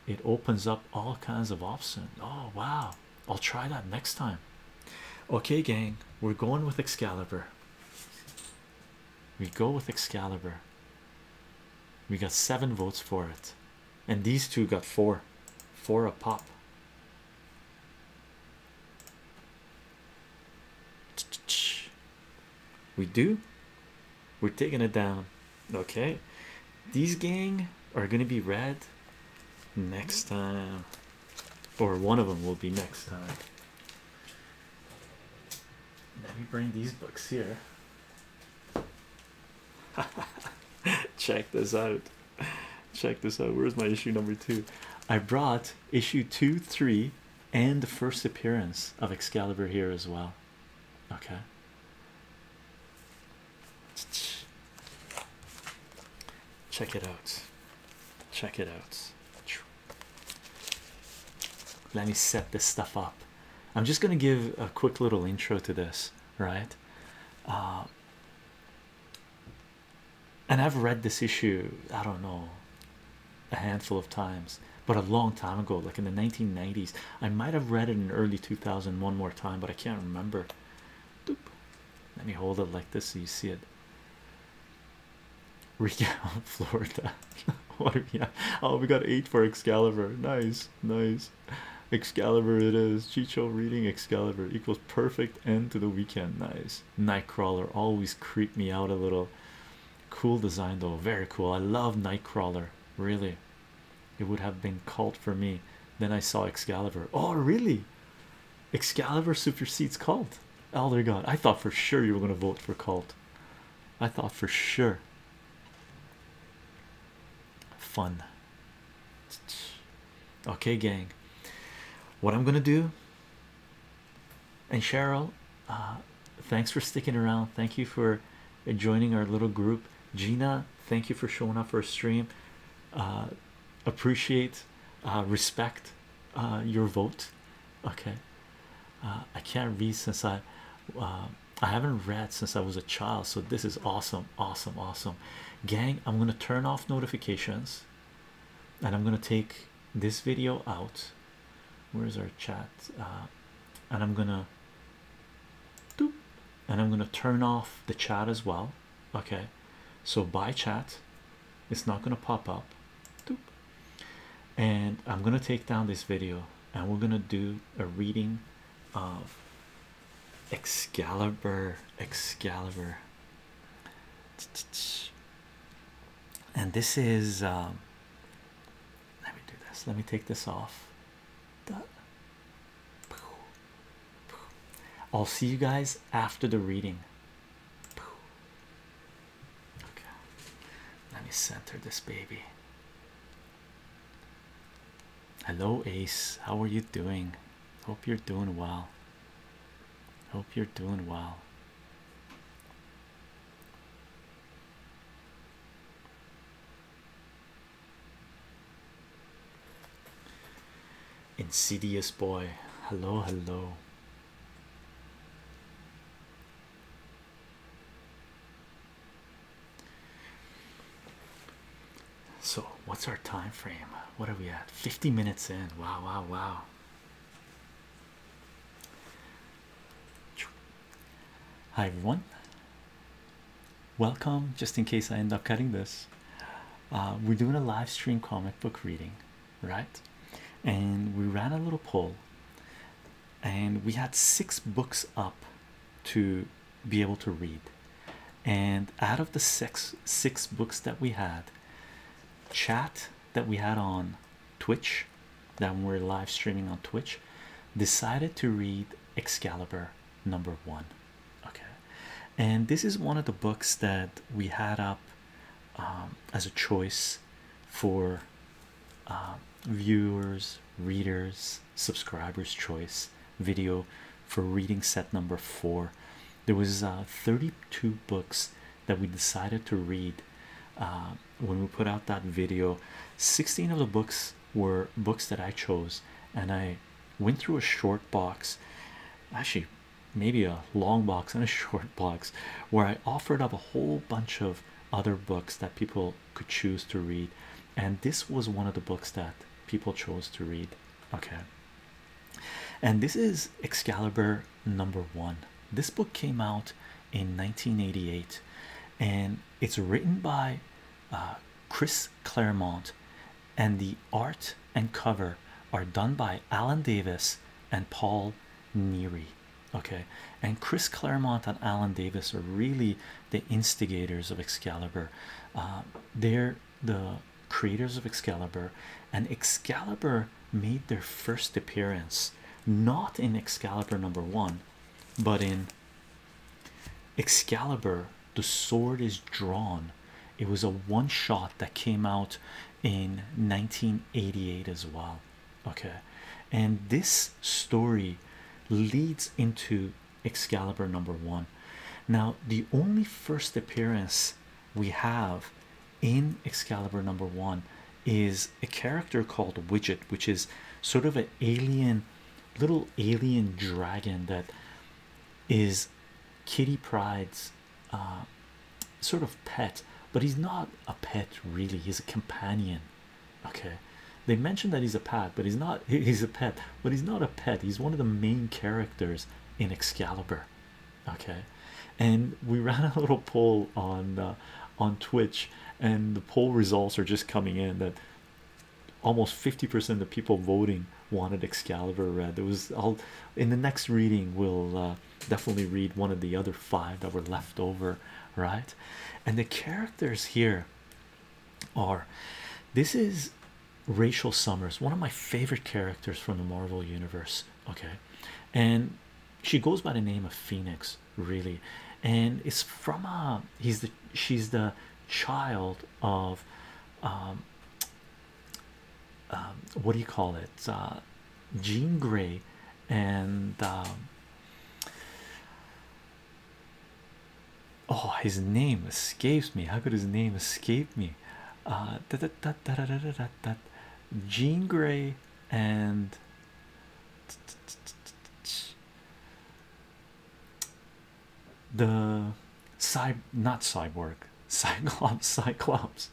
it opens up all kinds of options. Oh, wow, I'll try that next time. Okay, gang, we're going with Excalibur. We go with Excalibur. We got seven votes for it, and these two got four, four a pop. We do. We're taking it down. Okay. These gang are going to be red next time. Or one of them will be next time. Let me bring these books here. <laughs> Check this out. Check this out. Where's my issue number two? I brought issue two, three, and the first appearance of Excalibur here as well. Okay. Check it out. Check it out. Let me set this stuff up. I'm just going to give a quick little intro to this, right? Uh, and I've read this issue, I don't know, a handful of times, but a long time ago, like in the 1990s. I might have read it in early 2000 one more time, but I can't remember. Doop. Let me hold it like this so you see it. <laughs> Recount Florida. <laughs> what are we at? Oh, we got eight for Excalibur. Nice, nice. Excalibur it is. Chicho reading Excalibur equals perfect end to the weekend. Nice. Nightcrawler always creeped me out a little. Cool design though, very cool. I love Nightcrawler, really. It would have been cult for me. Then I saw Excalibur. Oh, really? Excalibur supersedes cult. Elder God, I thought for sure you were going to vote for cult. I thought for sure. Fun. Okay, gang. What I'm going to do and Cheryl, uh, thanks for sticking around. Thank you for joining our little group. Gina, thank you for showing up for a stream. Uh, appreciate, uh, respect your vote. Okay, I can't read since I I haven't read since I was a child, so this is awesome, awesome, awesome. Gang, I'm gonna turn off notifications and I'm gonna take this video out. Where's our chat? Uh, and I'm gonna and I'm gonna turn off the chat as well. Okay, so by chat, it's not gonna pop up. And I'm gonna take down this video and we're gonna do a reading of Excalibur. Excalibur and this is um, let me do this let me take this off I'll see you guys after the reading okay let me center this baby hello ace how are you doing hope you're doing well Hope you're doing well. Insidious boy, hello, hello. So, what's our time frame? What are we at? 50 minutes in. Wow, wow, wow. Hi everyone, welcome. Just in case I end up cutting this, uh, we're doing a live stream comic book reading, right? And we ran a little poll, and we had six books up to be able to read. And out of the six six books that we had, chat that we had on Twitch, that we're live streaming on Twitch, decided to read Excalibur number one. Okay, and this is one of the books that we had up um, as a choice for uh, viewers, readers, subscribers' choice video for reading set number four. There was uh, 32 books that we decided to read uh, when we put out that video 16 of the books were books that i chose and i went through a short box actually maybe a long box and a <laughs> short box where i offered up a whole bunch of other books that people could choose to read and this was one of the books that people chose to read okay and this is excalibur number one. This book came out in 1988 and it's written by uh, Chris Claremont, and the art and cover are done by Alan Davis and Paul Neary. Okay, and Chris Claremont and Alan Davis are really the instigators of Excalibur. Uh, they're the creators of Excalibur, and Excalibur made their first appearance not in Excalibur number one, but in Excalibur The Sword is Drawn. It was a one shot that came out in 1988 as well. Okay, and this story leads into Excalibur number one. Now, the only first appearance we have in Excalibur number one is a character called Widget, which is sort of a alien little alien dragon that is Kitty Pride's uh, sort of pet, but he's not a pet really, he's a companion. Okay, they mentioned that he's a pet, but he's not <laughs> he's a pet, but he's not a pet, he's one of the main characters in Excalibur okay and we <laughs> ran a little poll on uh, on twitch and the poll results are just coming in that almost 50% of the people voting wanted excalibur red there was all in the next reading we'll uh, definitely read one of the other five that were left over right and the characters here are this is Rachel Summers, one of my favorite characters from the Marvel universe. Okay, and she goes by the name of Phoenix, really, and it's from a uh, he's the she's the child of um, um, what do you call it? Uh, Jean Grey and um, oh, his name escapes me. How could his name escape me? Uh, da, da, da, da, da, da, da, da. Jean Grey and the cy not cyborg, cyclops, <laughs> cyclops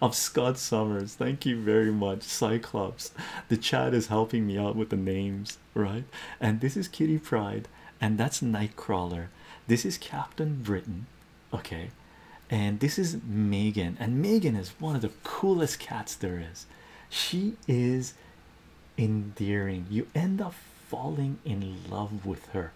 of Scott Summers. Thank you very much, Cyclops. The chat is helping me out with the names, right? And this is Kitty Pride, and that's Nightcrawler. This is Captain Britain. Okay, and this is Megan, and Megan is one of the coolest cats there is. She is endearing. You end up falling in love with her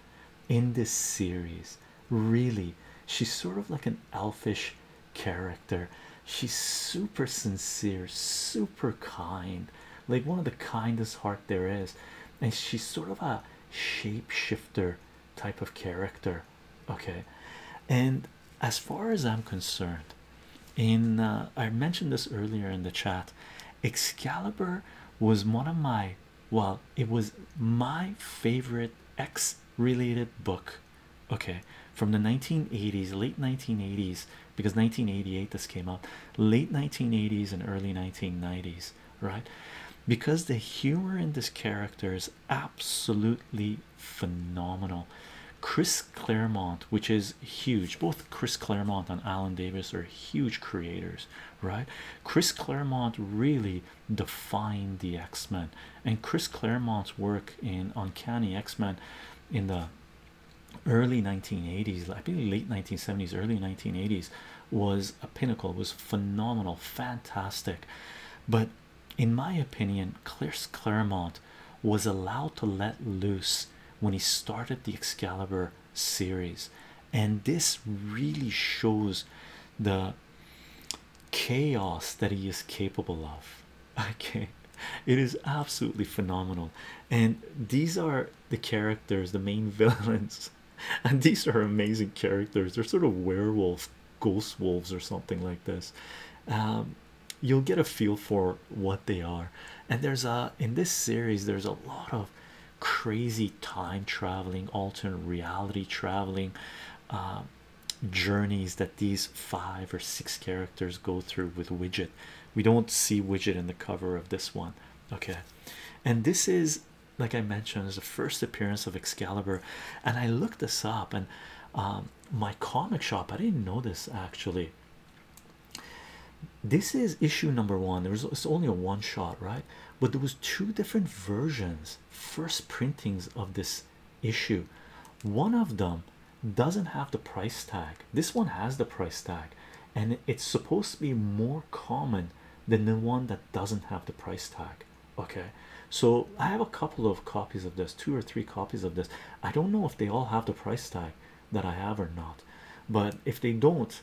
in this series. Really, she's sort of like an elfish character. She's super sincere, super kind, like one of the kindest heart there is, and she's sort of a shapeshifter type of character okay and as far as i'm concerned in uh, i mentioned this earlier in the chat excalibur was one of my well it was my favorite x related book okay from the 1980s late 1980s because 1988 this came out late 1980s and early 1990s right because the humor in this character is absolutely phenomenal. Chris Claremont, which is huge, both Chris Claremont and Alan Davis are huge creators, right? Chris Claremont really defined the X Men, and Chris Claremont's work in Uncanny X Men in the early 1980s, I think late 1970s, early 1980s, was a pinnacle, It was phenomenal, fantastic. But in my opinion, Clears Claremont was allowed to let loose when he started the Excalibur series, and this really shows the chaos that he is capable of. <laughs> Okay, it is absolutely phenomenal, and these are the characters, the main <laughs> villains, and these are amazing characters. They're sort of werewolf ghost wolves or something like this um, you'll get a feel for what they are and there's a in this series there's a lot of crazy time traveling alternate reality traveling um, journeys that these five or six characters go through with widget we don't see widget in the cover of this one okay and this is like i mentioned is the first appearance of excalibur and i looked this up and um, my comic shop. I didn't know this actually. This is issue number one. There's it's only a one shot, right? But there was two different versions, first printings of this issue. One of them doesn't have the price tag. This one has the price tag, and it's supposed to be more common than the one that doesn't have the price tag. Okay, so I have a couple of copies of this, two or three copies of this. I don't know if they all have the price tag that I have or not, but if they don't,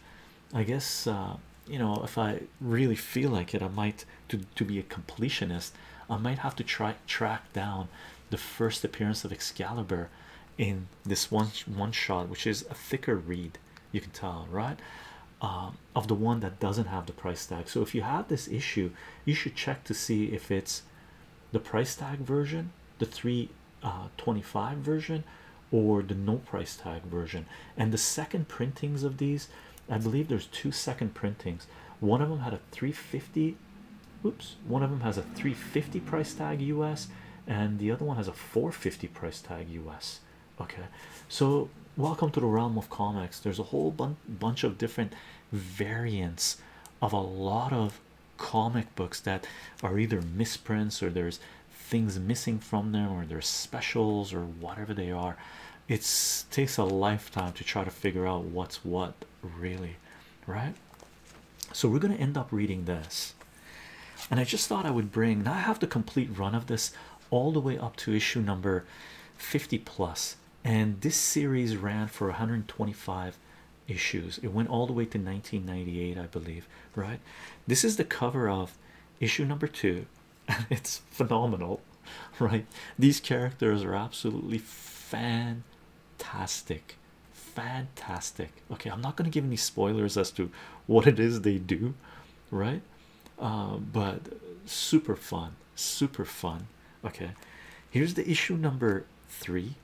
I guess uh, you know if I really feel like it, I might to to be a completionist. I might have to try track down the first appearance of Excalibur in this one one shot, which is a thicker read. You can tell, right? Um, of the one that doesn't have the price tag. So if you have this issue, you should check to see if it's the price tag version the 325 uh, version or the no price tag version and the second printings of these i believe there's two second printings one of them had a 350 oops one of them has a 350 price tag us and the other one has a 450 price tag us okay so welcome to the realm of comics there's a whole bun bunch of different variants of a lot of comic books that are either misprints or there's things missing from them or there's specials or whatever they are. It takes a lifetime to try to figure out what's what, really, right? So we're going to end up reading this. And I just thought I would bring now I have the complete run of this all the way up to issue number 50 plus and this series ran for 125 issues it went all the way to 1998 i believe right this is the cover of issue number two <laughs> it's phenomenal <laughs> right these characters are absolutely fantastic fantastic okay i'm not going to give any spoilers as to what it is they do right uh, but super fun super fun. Okay, here's the issue number three.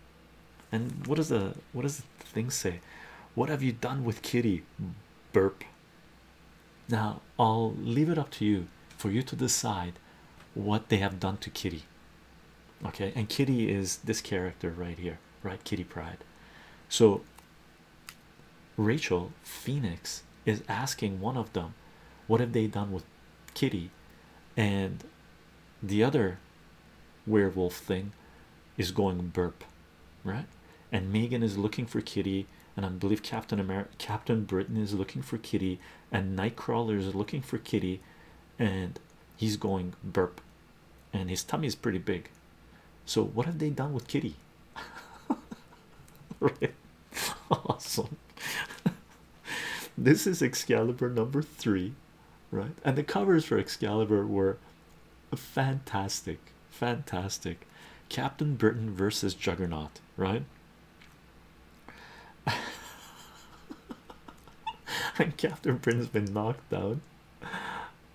And what does the what does the thing say? What have you done with Kitty? Burp. Now I'll leave it up to you for you to decide what they have done to Kitty. Okay, and Kitty is this character right here, right? Kitty Pride. So Rachel Phoenix is asking one of them, What have they done with kitty and the other werewolf thing is going burp right and megan is looking for kitty and i believe captain america captain britain is looking for kitty and nightcrawler is looking for kitty and he's going burp and his tummy is pretty big so what have they done with kitty right <laughs> <laughs> awesome <laughs> <laughs> this is Excalibur number three, right? And the covers for Excalibur were fantastic, fantastic. Captain Britain versus Juggernaut, right? <laughs> and Captain Britain's been knocked down.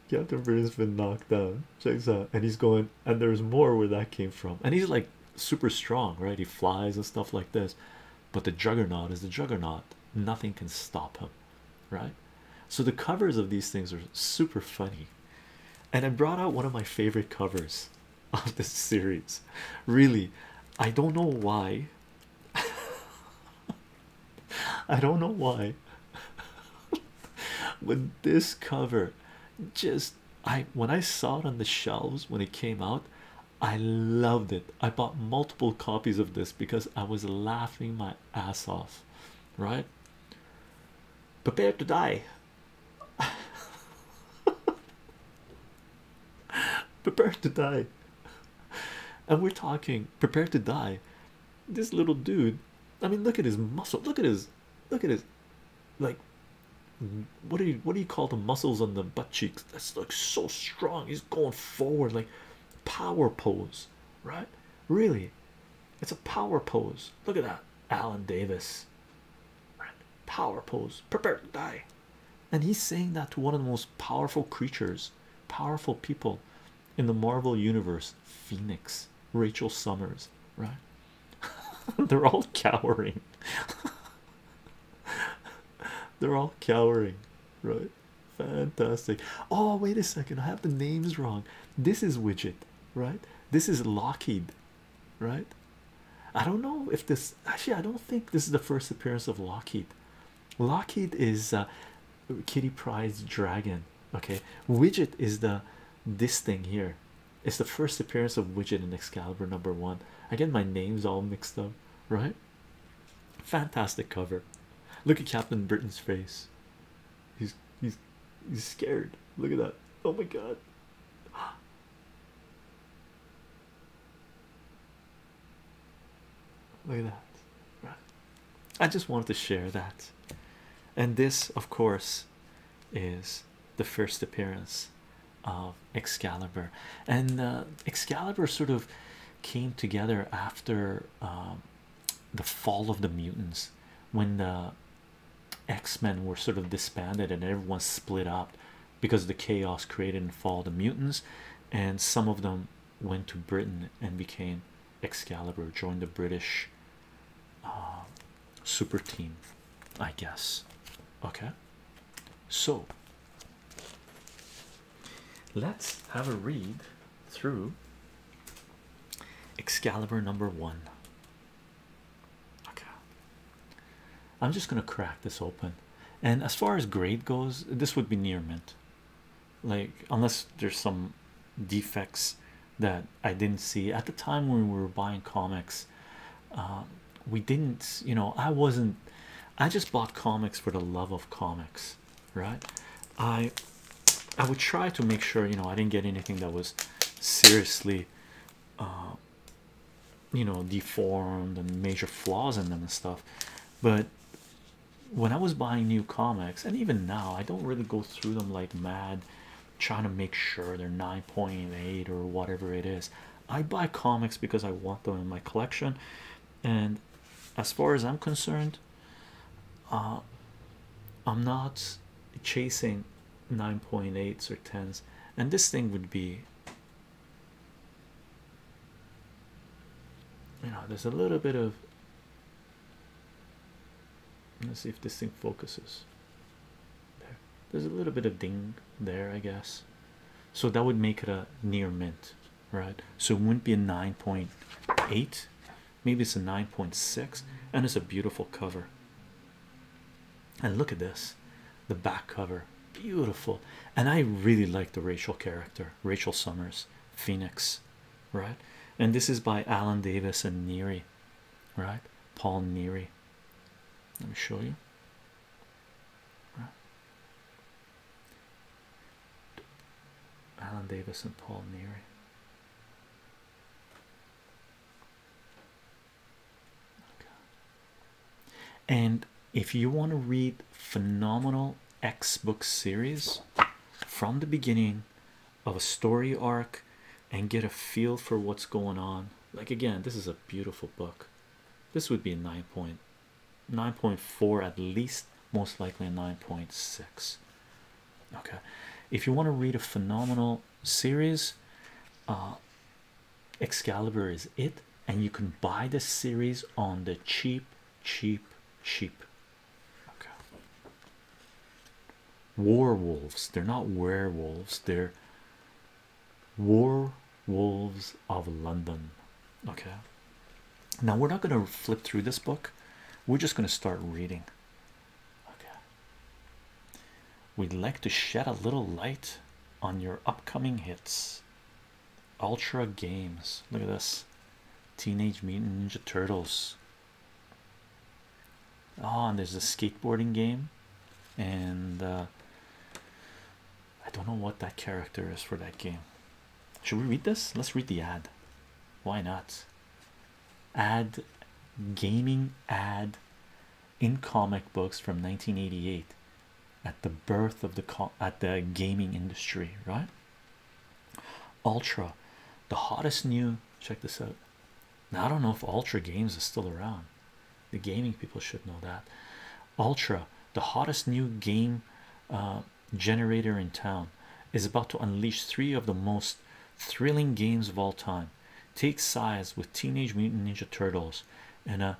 Captain Britain's been knocked down. Check this And he's going, and there's more where that came from. And he's like super strong, right? He flies and stuff like this but the juggernaut is the juggernaut nothing can stop him right so the covers of these things are super funny and i brought out one of my favorite covers <laughs> of this series really i don't know why <laughs> i don't know why With <laughs> this cover just i when i saw it on the shelves when it came out I loved it. I bought multiple copies of this because I was laughing my ass off, right? Prepare to die. <laughs> prepare to die. And we're talking prepare to die. This little dude, I mean, look at his muscle, look at his, look at his, like, what do you what do you call the muscles on the butt cheeks that's like so strong he's going forward like power pose right really it's a power pose look at that alan davis power pose prepare to die and he's saying that to one of the most powerful creatures powerful people in the marvel universe phoenix rachel summers right <laughs> they're all cowering <laughs> <laughs> They're all cowering, right? Fantastic. Oh, wait a second. I have the names wrong. This is Widget, right? This is Lockheed, right? I don't know if this actually, I don't think this is the first appearance of Lockheed. Lockheed is uh, Kitty Pride's dragon. Okay, Widget is the this thing here. It's the first appearance of Widget in Excalibur number one. Again, my name's all mixed up, right? Fantastic cover. Look at Captain Britain's face. He's he's he's scared. Look at that. Oh my god. <gasps> Look at that. I just wanted to share that. And this, of course, is the first appearance of Excalibur, and uh, Excalibur sort of came together after um, the fall of the mutants when the X-Men were sort of disbanded and everyone split up because of the chaos created in fall of the mutants, and some of them went to Britain and became Excalibur, joined the British um, super team, I guess. Okay, so Let's have a read through Excalibur number one. Okay, I'm just gonna crack this open, and as far as grade goes, this would be near mint, like, unless there's some defects that I didn't see at the time when we were buying comics. Uh, we didn't you know i wasn't i just bought comics for the love of comics right i i would try to make sure you know i didn't get anything that was seriously uh, you know deformed and major flaws in them and stuff but when i was buying new comics and even now i don't really go through them like mad trying to make sure they're 9.8 or whatever it is i buy comics because i want them in my collection and as far as I'm concerned, uh, I'm not chasing 9.8s or 10s, and this thing would be you know, there's a little bit of let's see if this thing focuses. there's a little bit of ding there, I guess. So that would make it a near mint right? So it wouldn't be a 9.8, maybe it's a 9.6, and it's a beautiful cover. And look at this the back cover, beautiful. And I really like the racial character, Rachel Summers, Phoenix, right? And this is by Alan Davis and Neary, right? Paul Neary. Let me show you. Right. Alan Davis and Paul Neary. And if you want to read phenomenal X book series from the beginning of a story arc and get a feel for what's going on, like again, this is a beautiful book. This would be a point. 9.4 at least most likely 9.6 okay if you want to read a phenomenal series uh, excalibur is it and you can buy the series on the cheap cheap cheap okay war wolves they're not werewolves they're war Wolves of London. Okay, now we're not going to flip through this book, we're just going to start reading. Okay, we'd like to shed a little light on your upcoming hits. Ultra Games, look at this Teenage Mutant Ninja Turtles. Oh, and there's a skateboarding game, and uh, I don't know what that character is for that game. Should we read this? Let's read the ad. Why not? Ad gaming ad in comic books from 1988 at the birth of the at the gaming industry, right? Ultra, the hottest new check this out. Now I don't know if Ultra Games is still around. The gaming people should know that. Ultra, the hottest new game uh, generator in town, is about to unleash three of the most thrilling games of all time. Take sides with Teenage Mutant Ninja Turtles in a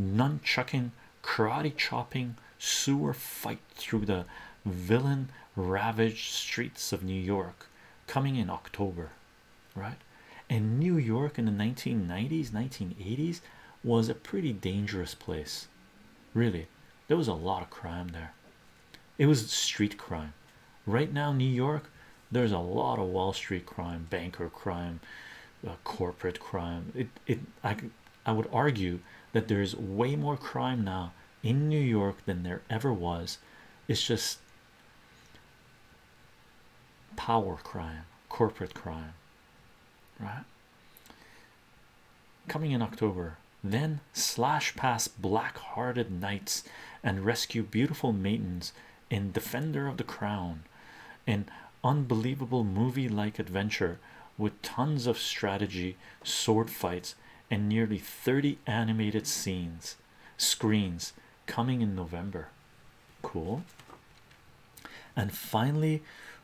nunchucking, karate chopping sewer fight through the villain ravaged streets of New York coming in October, right? And New York in the 1990s, 1980s was a pretty dangerous place really there was a lot of crime there it was street crime right now new york there's a lot of wall street crime banker crime uh, corporate crime it it i i would argue that there's way more crime now in new york than there ever was it's just power crime corporate crime right Coming in October, then slash past black hearted knights and rescue beautiful maidens in Defender of the Crown, an unbelievable movie like adventure with tons of strategy, sword fights, and nearly 30 animated scenes screens coming in November. Cool, and finally,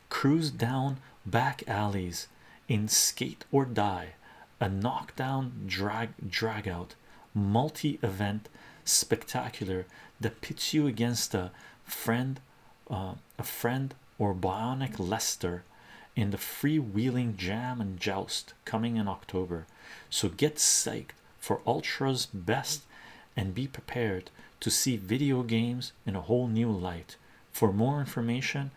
cruise down back alleys in skate or die a knockdown drag drag out multi-event spectacular that pits you against a friend uh, a friend or bionic lester in the freewheeling jam and joust coming in october so get psyched for ultra's best and be prepared to see video games in a whole new light for more information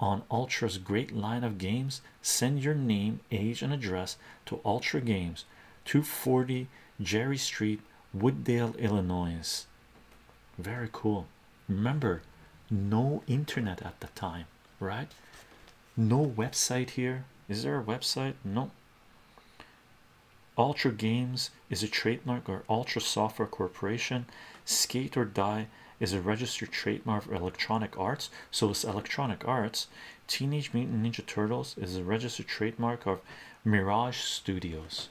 on Ultra's great line of games, send your name, age, and address to Ultra Games, 240 Jerry Street, Wooddale, Illinois. Very cool. Remember, no internet at the time, right? No website here. Is there a website? No. Ultra Games is a trademark of Ultra Software Corporation. Skate or Die is a registered trademark of Electronic Arts, so is Electronic Arts. Teenage Mutant Ninja Turtles is a registered trademark of Mirage Studios.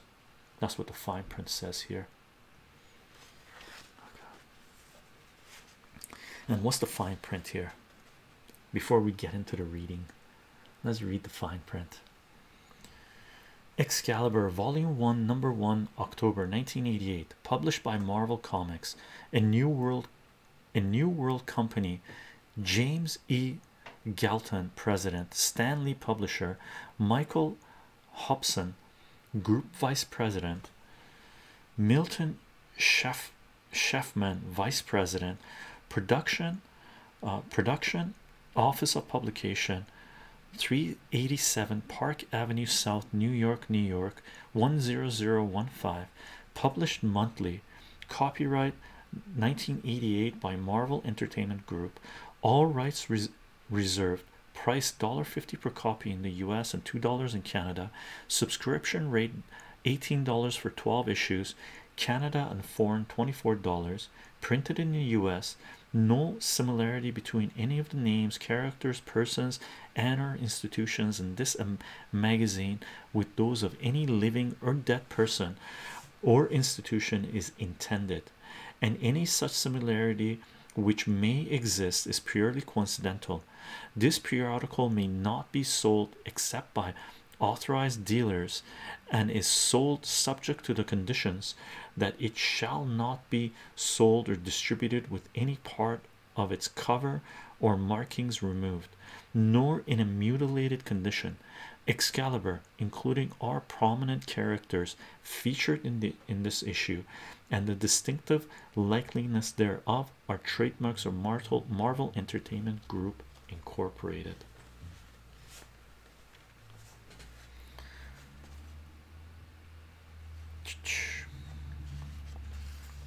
That's what the fine print says here. And what's the fine print here? Before we get into the reading, let's read the fine print. Excalibur Volume 1, Number 1, October 1988, published by Marvel Comics, a New World, a New World Company, James E. Galton, President, Stanley Publisher, Michael Hobson, Group Vice President, Milton Sheff Sheffman, Vice President, Production uh, production office of publication 387 Park Avenue South New York New York 10015 published monthly copyright 1988 by Marvel Entertainment Group all rights reserved price $1.50 per copy in the US and $2 in Canada subscription rate $18 for 12 issues Canada and foreign $24 printed in the US no similarity between any of the names, characters, persons, and or institutions in this um, magazine with those of any living or dead person or institution is intended, and any such similarity which may exist is purely coincidental. This periodical may not be sold except by authorized dealers and is sold subject to the conditions that it shall not be sold or distributed with any part of its cover or markings removed, nor in a mutilated condition. Excalibur, including our prominent characters featured in the in this issue, and the distinctive likeliness thereof, are trademarks of Marvel Entertainment Group Incorporated.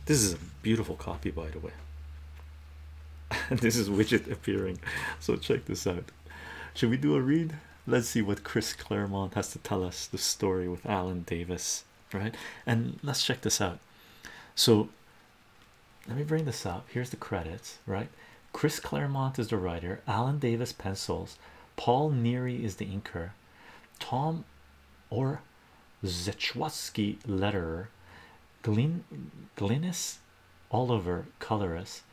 This is a beautiful copy, by the way. <laughs> this is widget appearing, so check this out. Should we do a read? Let's see what Chris Claremont has to tell us the story with Alan Davis, right? And let's check this out. So, let me bring this up. Here's the credits, right? Chris Claremont is the writer, Alan Davis pencils, Paul Neary is the inker, Tom or Zechowski letterer, Glyn Glynis Oliver colorist,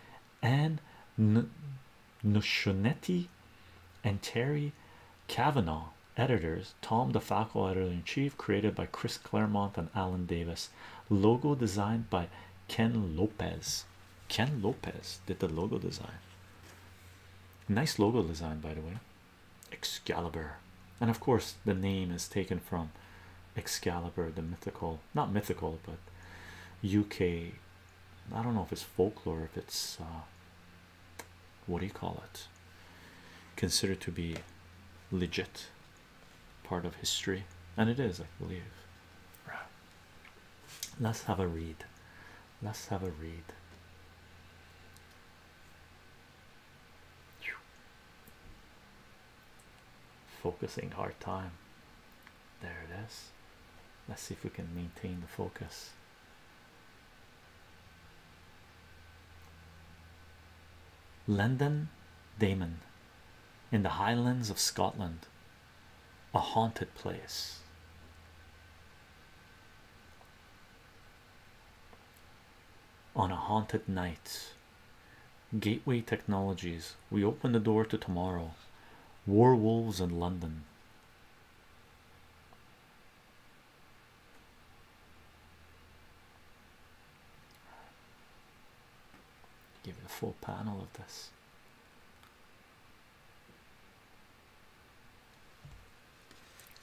Anne Nushonetti and Terry Kavanaugh editors, Tom the editor-in-chief, created by Chris Claremont and Alan Davis, logo designed by Ken Lopez. Ken Lopez did the logo design. Nice logo design, by the way. Excalibur, and of course, the name is taken from Excalibur, the mythical, not mythical, but UK. I don't know if it's folklore, if it's uh, what do you call it? Considered to be legit part of history, and it is, I believe. Right. Let's have a read. Let's have a read. Focusing hard time. There it is. Let's see if we can maintain the focus. London Damon in the Highlands of Scotland a haunted place. On a haunted night, Gateway Technologies, we open the door to tomorrow. War wolves in London. Give you the full panel of this.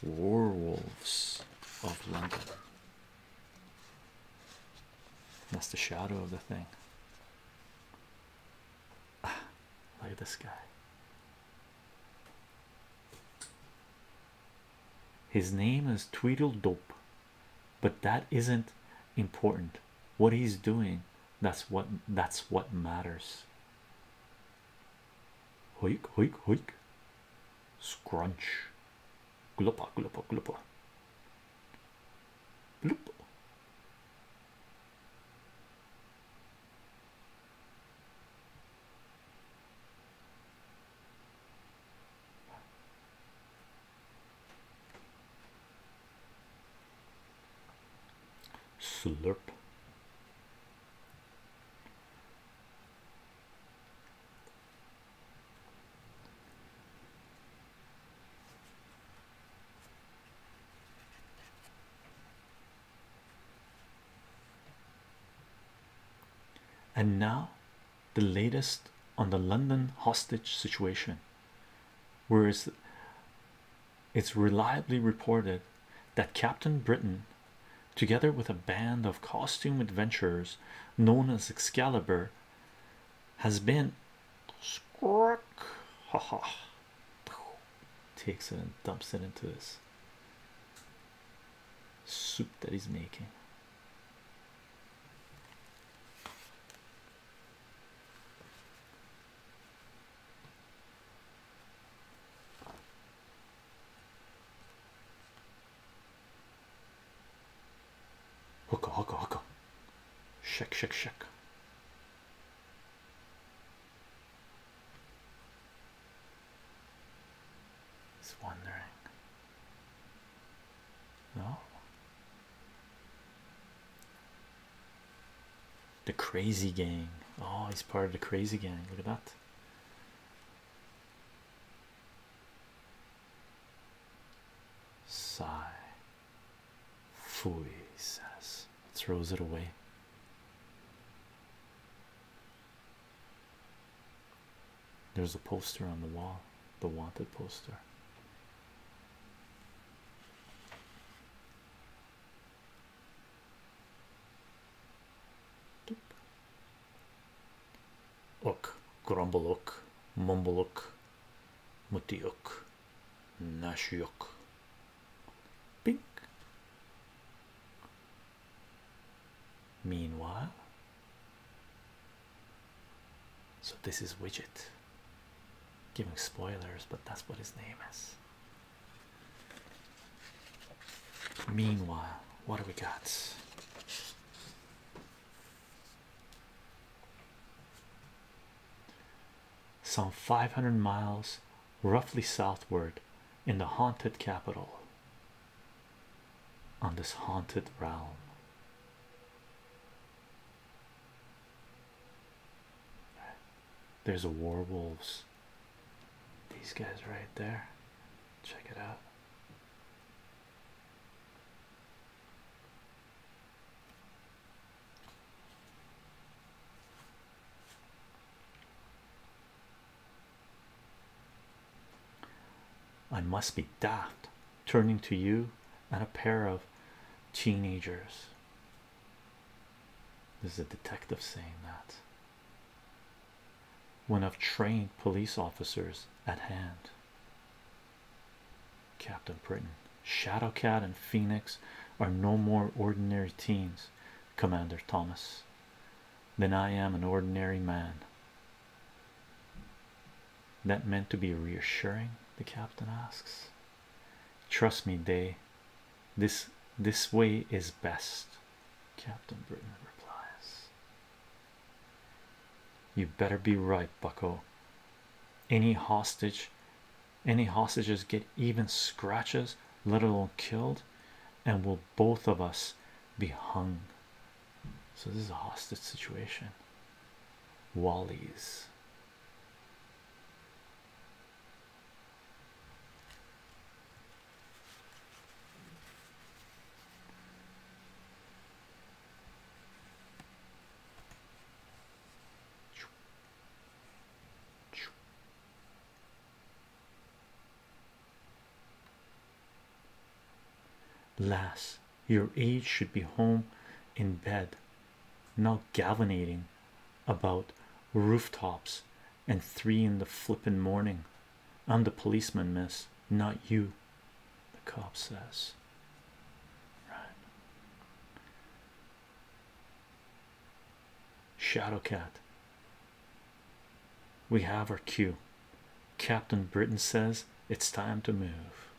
Warwolves of London. That's the shadow of the thing. Ah, look at this guy. His name is Tweedledope, but that isn't important. What he's doing that's what that's what matters. Hoik, hoik, hoik. Scrunch. Glupa, glupa, glupa. Bloop slurp and now the latest on the London hostage situation where is it's reliably reported that Captain Britain, together with a band of costume adventurers known as Excalibur, has been squawk, ha ha, takes it and dumps it into this soup that he's making. Hooka, hooka, hooka. Shake, shake, shake. He's wondering. No the crazy gang. Oh, he's part of the crazy gang. Look at that. Sigh. Fooey says, throws it away. There's a poster on the wall, the wanted poster. Ook, grumble ook, mumble ook, mutty ook, nash ook. Pink. Meanwhile, so this is widget giving spoilers, but that's what his name is. Meanwhile, what do we got? Some 500 miles roughly southward in the haunted capital on this haunted realm. There's a werewolves. These guys right there. Check it out. I must be daft turning to you and a pair of teenagers there's a detective saying that. One of trained police officers at hand, Captain Britain, Shadowcat, and Phoenix are no more ordinary teens, Commander Thomas, than I am an ordinary man. That meant to be reassuring? The captain asks. Trust me, day. this this way is best. Captain Britain replies, You better be right, Bucko. Any hostage, any hostages get even scratches, let alone killed, and will both of us be hung. So, this is a hostage situation. Wally's Lass, your age should be home in bed now galvanating about rooftops and three in the flippin' morning. I'm the policeman, miss, not you. The cop says, Right. Shadowcat. We have our cue. Captain Britain says it's time to move.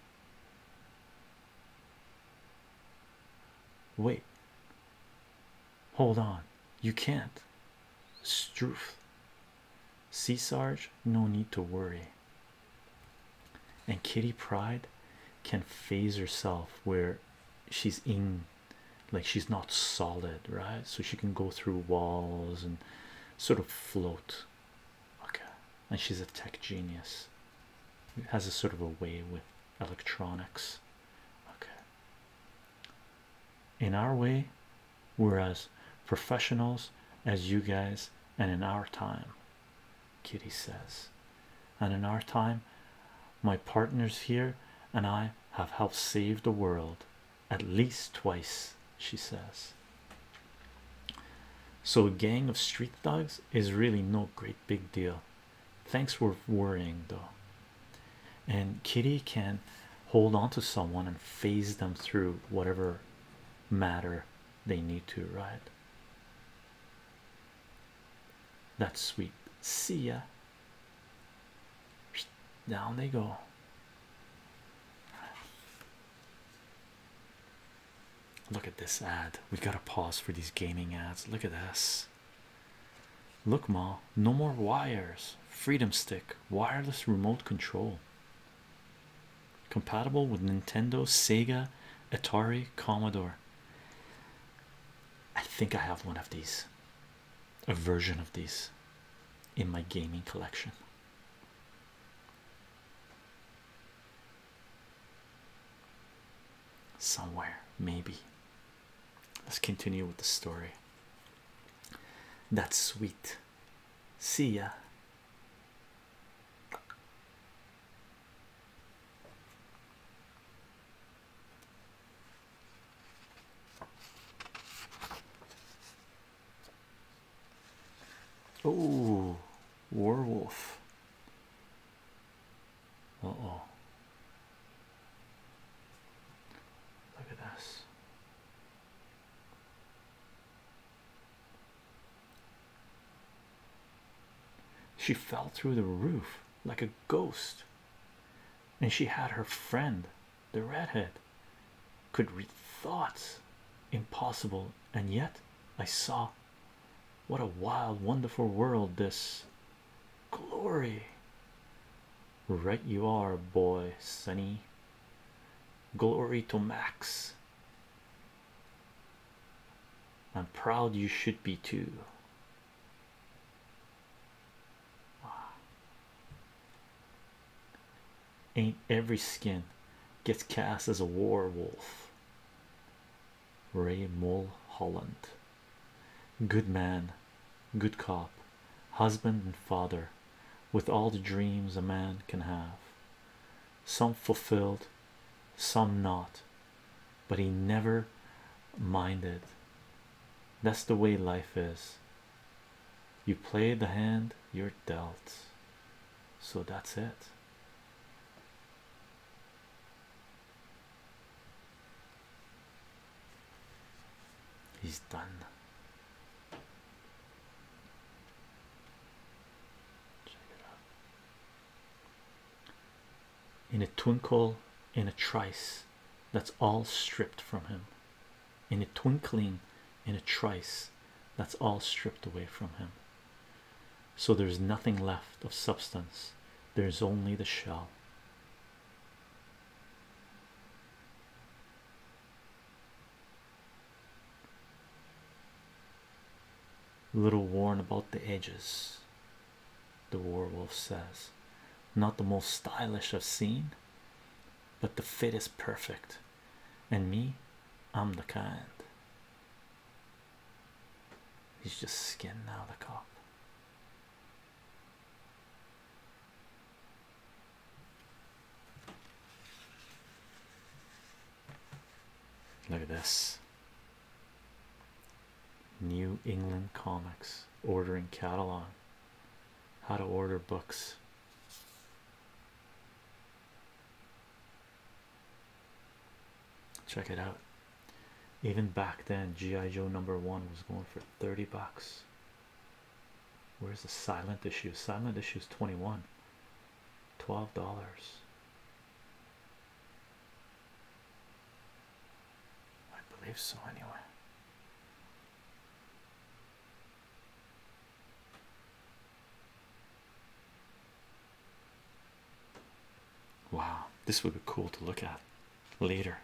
Wait, Hold on, you can't. Struth. Sea Sarge, no need to worry. And Kitty Pride can phase herself where she's in, like she's not solid, right? So she can go through walls and sort of float. Okay, and she's a tech genius. has a sort of a way with electronics okay in our way we're as professionals as you guys and in our time kitty says and in our time my partners here and i have helped save the world at least twice she says so a gang of street dogs is really no great big deal Thanks for worrying though. And Kitty can hold on to someone and phase them through whatever matter they need to, right? That's sweet. See ya. Down they go. Look at this ad. We have gotta pause for these gaming ads. Look at this. Look, Ma, no more wires. Freedom Stick wireless remote control. Compatible with Nintendo, Sega, Atari, Commodore. I think I have one of these, a version of this, in my gaming collection. Somewhere, maybe. Let's continue with the story. That's sweet. See ya. Oh, werewolf oh. Look at this. She fell through the roof like a ghost, and she had her friend, the redhead, could read thoughts impossible, and yet I saw what a wild, wonderful world this Glory. Right, you are, boy, Sunny. Glory to Max. I'm proud you should be too. Ain't every skin gets cast as a war wolf. Ray Mulholland. Good man, good cop, husband and father, with all the dreams a man can have. Some fulfilled, some not, but he never minded. That's the way life is. You play the hand you're dealt. So that's it. He's done. Check In a twinkle, in a trice, that's all stripped from him. In a twinkling, in a trice, that's all stripped away from him. So there's nothing left of substance, there's only the shell little worn about the edges, the werewolf says. Not the most stylish I've seen, but the fit is perfect. And me, I'm the kind. He's just skin now, the cop. Look at this New England Comics ordering catalog. How to order books. Check it out. Even back then, G.I. Joe number one was going for 30 bucks. Where's the silent issue? Silent issue is 21, 12 dollars. I believe so, anyway. Wow, this would be cool to look at. Leader.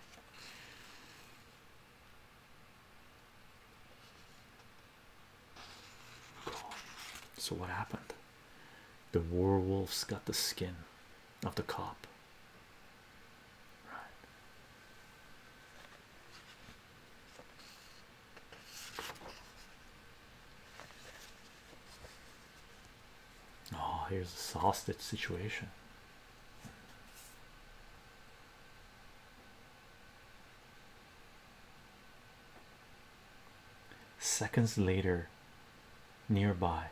So, what happened? The werewolves got the skin of the cop, right? Oh, here's a hostage situation. Seconds later, nearby.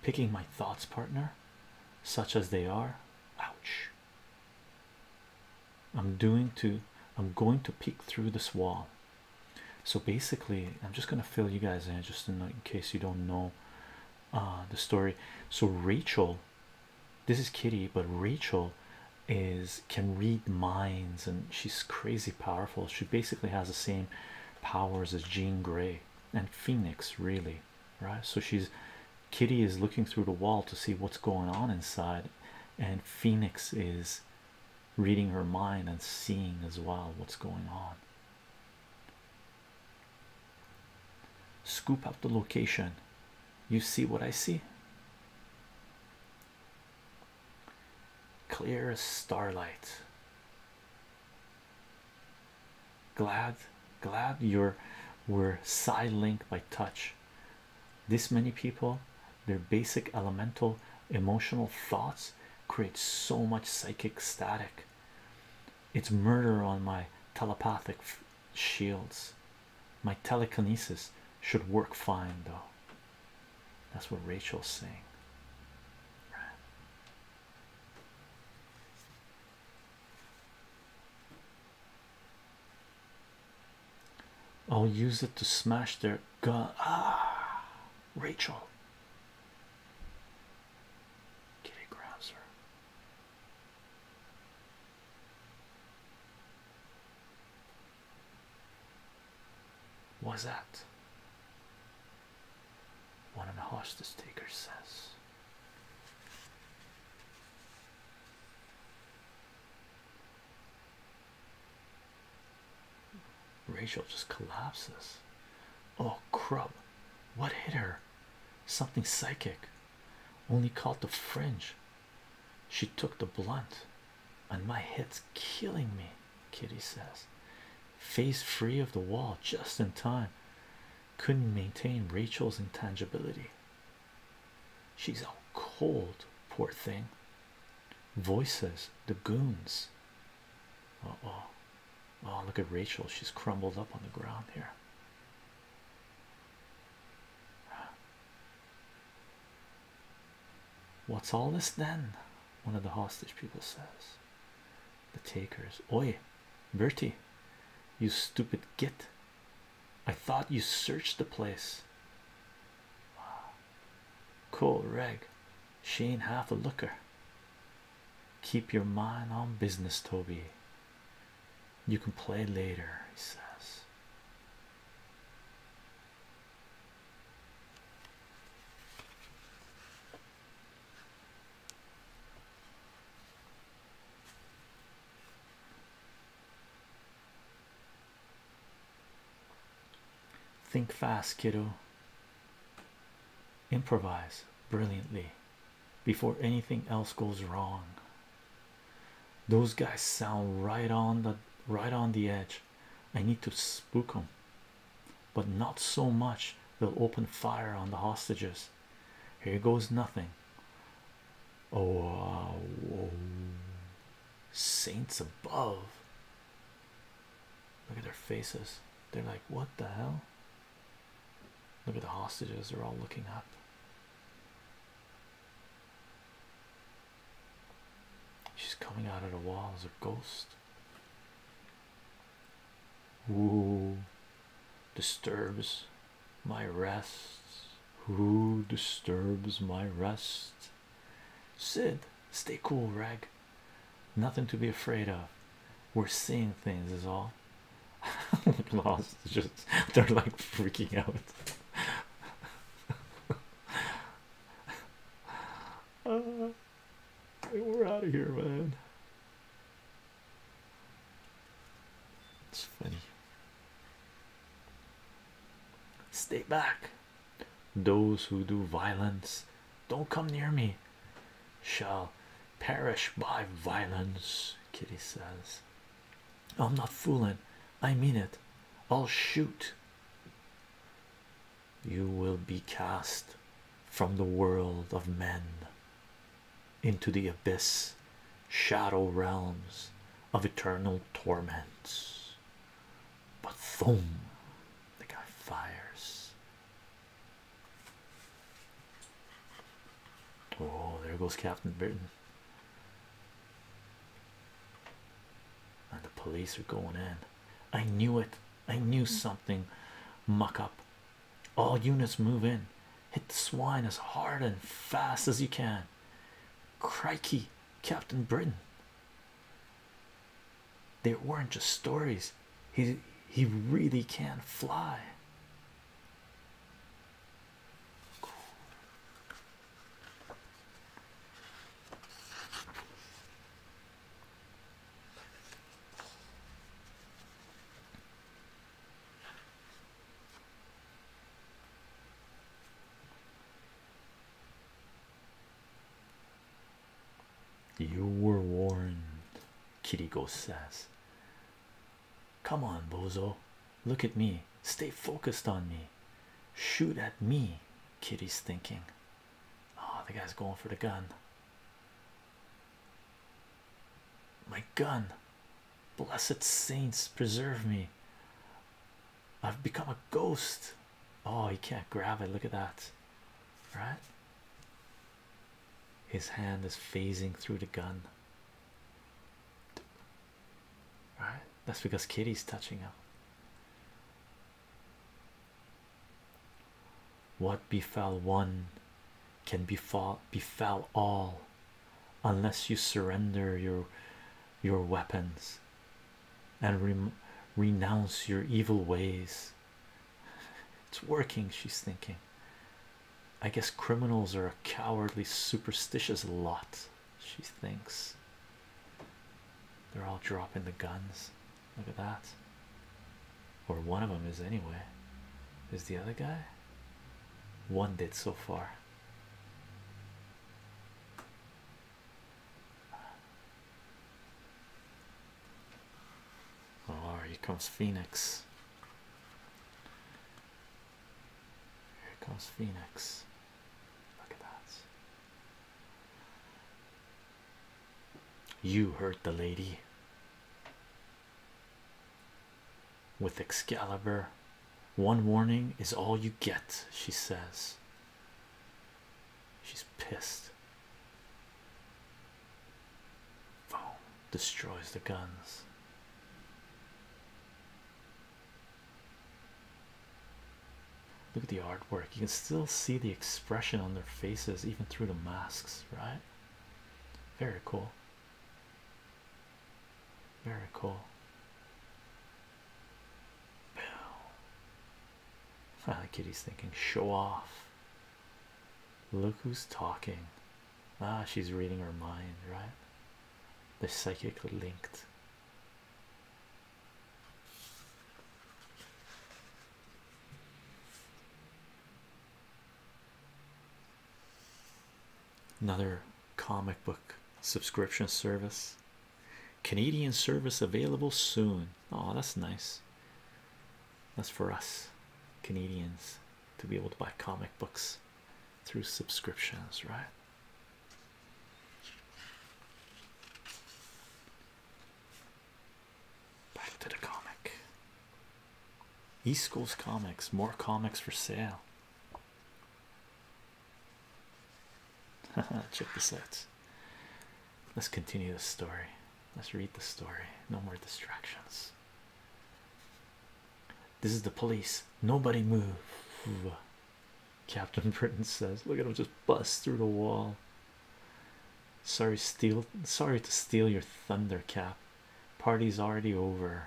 picking my thoughts, partner, such as they are. Ouch. I'm doing to I'm going to peek through this wall so basically, I'm just gonna fill you guys in just in, case you don't know uh, the story. So Rachel, this is Kitty, but Rachel is can read minds and she's crazy powerful. She basically has the same powers as Jean Grey and Phoenix, really, right? So she's Kitty is looking through the wall to see what's going on inside, and Phoenix is reading her mind and seeing as well what's going on. Scoop up the location. You see what I see? Clear as starlight. Glad, glad you're we're side linked by touch. This many people their basic elemental emotional thoughts create so much psychic static. It's murder on my telepathic shields. My telekinesis should work fine, though. That's what Rachel's saying. I'll use it to smash their Gah! Rachel Kitty grabs her What's that? One of the hostess takers says Rachel just collapses. Oh, crap! What hit her? Something psychic, only caught the fringe. She took the blunt, and my head's killing me. Kitty says, face free of the wall just in time. Couldn't maintain Rachel's intangibility. She's all cold, poor thing voices the goons uh oh oh look at Rachel she's crumbled up on the ground here what's all this then one of the hostage people says the takers oi Bertie you stupid git I thought you searched the place Wow. Cool reg. She ain't half a looker. Keep your mind on business, Toby. You can play later, he says. Think fast, kiddo. Improvise brilliantly before anything else goes wrong. Those guys sound right on the right on the edge. I need to spook them, but not so much they'll open fire on the hostages. Here goes nothing. Oh, uh, saints above! Look at their faces. They're like, what the hell? Look at the hostages, they're all looking up. She's coming out of the wall as a ghost. Who disturbs my rest? Who disturbs my rest? Sid, stay cool, Reg. Nothing to be afraid of. We're seeing things, is all. <laughs> Lost, just they're like freaking out. <laughs> we're out of here, man. It's funny. Stay back. Those who do violence, don't come near me, shall perish by violence. Kitty says, I'm not fooling, I mean it. I'll shoot. You will be cast from the world of men into the abyss, shadow realms of eternal torments. But boom, the guy fires. Oh, there goes Captain Britain. And the police are going in. I knew it. I knew something. Muck up. All units move in. Hit the swine as hard and fast as you can. Crikey, Captain Britain. They weren't just stories. He he really can fly. You were warned, Kiriko says. Come on, Bozo. Look at me. Stay focused on me. Shoot at me, Kitty's thinking. Oh, the guy's going for the gun. My gun. Blessed saints, preserve me. I've become a ghost. Oh, he can't grab it. Look at that, right? His hand is phasing through the gun, right? That's because Kitty's touching him. What befell one can befall befell all unless you surrender your your weapons and renounce your evil ways. It's working, she's thinking. I guess criminals are a cowardly, superstitious lot, she thinks. They're all dropping the guns. Look at that. Or one of them is, anyway. Is the other guy? One did so far. Oh, here comes Phoenix. Here comes Phoenix. Look at that. You hurt the lady with Excalibur. One warning is all you get, she says. She's pissed. Boom. Destroys the guns. Look at the artwork. You can still see the expression on their faces, even through the masks, right? Very cool. Very cool. Boom. Finally, Kitty's thinking, show off. Look who's talking. Ah, she's reading her mind, right? They're psychically linked. Another comic book subscription service. Canadian service available soon. Oh, that's nice. That's for us Canadians to be able to buy comic books through subscriptions, right? Back to the comic. East Coast Comics, more comics for sale. <laughs> Check this out. Let's continue the story. Let's read the story. No more distractions. This is the police. Nobody move. Captain <laughs> Britain says, Look at him just bust through the wall. Sorry, steal sorry to steal your thunder cap. Party's already over.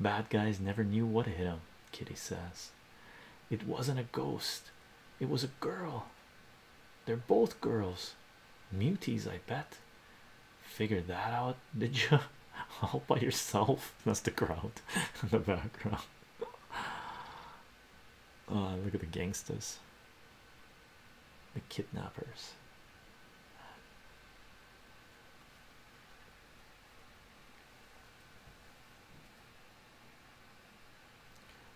Bad guys never knew what hit him, Kitty says. It wasn't a ghost, it was a girl. They're both girls. Muties, I bet. Figured that out, did you? <laughs> All by yourself. <laughs> That's the crowd in <laughs> the background. Oh, look at the gangsters. The kidnappers.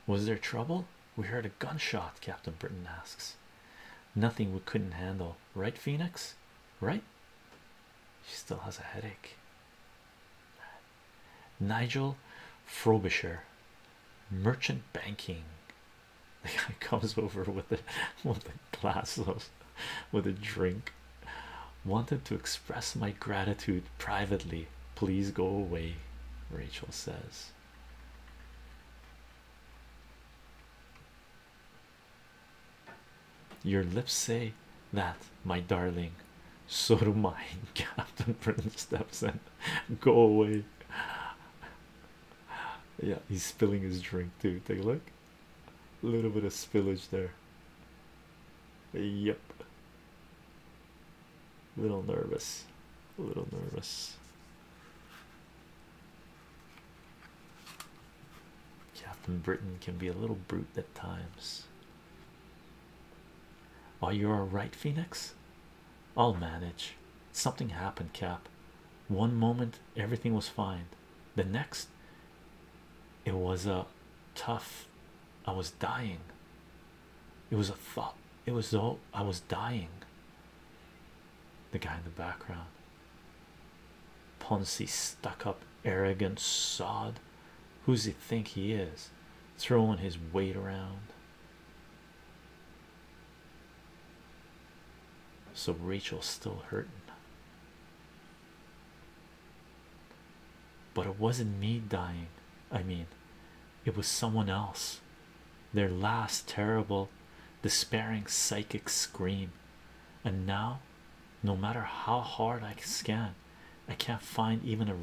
Was there trouble? We heard a gunshot, Captain Britton asks. Nothing we couldn't handle, right, Phoenix? Right? She still has a headache. Nigel Frobisher, merchant banking. The guy <laughs> comes over with a with a glass of with a drink. Wanted to express my gratitude privately. Please go away, Rachel says. Your lips say that, my darling. So do mine. <laughs> Captain Prince steps in. Go away. Yeah, he's spilling his drink too. Take a look. A little bit of spillage there. Yep little nervous a little nervous Captain Britain can be a little brute at times. Are you all right, Phoenix? I'll manage. Something happened, Cap. One moment everything was fine, the next, it was a uh, tough. I was dying. It was a thought. It was though I was dying. The guy in the background. Poncy stuck up arrogant sod. Who's he think he is? Throwing his weight around. So Rachel's still hurting. But it wasn't me dying. I mean, it was someone else their last terrible despairing psychic scream and now no matter how hard i scan i can't find even a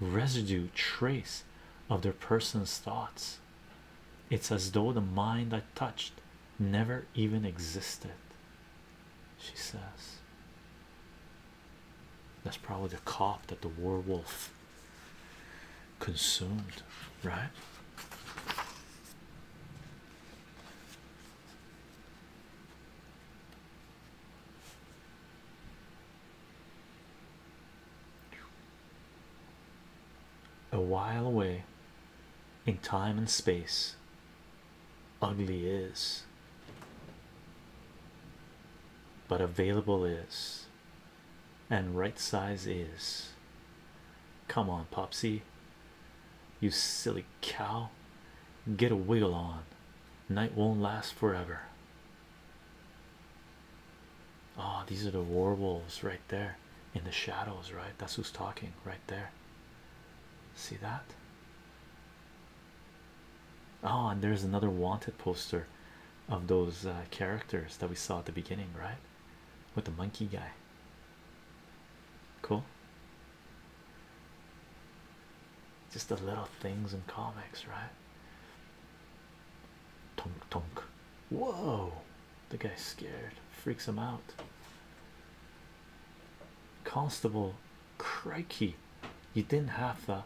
residue trace of their person's thoughts it's as though the mind i touched never even existed she says that's probably the cop that the werewolf consumed, right? A while away in time and space, ugly is, but available is and right size is. Come on, Popsy, you silly cow, get a wiggle on. Night won't last forever. Oh, these are the war wolves right there in the shadows, right? That's who's talking right there. See that? Oh, and there's another wanted poster of those uh, characters that we saw at the beginning, right? With the monkey guy. Cool. Just the little things in comics, right? Tonk tonk. Whoa! The guy's scared. Freaks him out. Constable, crikey! You didn't have the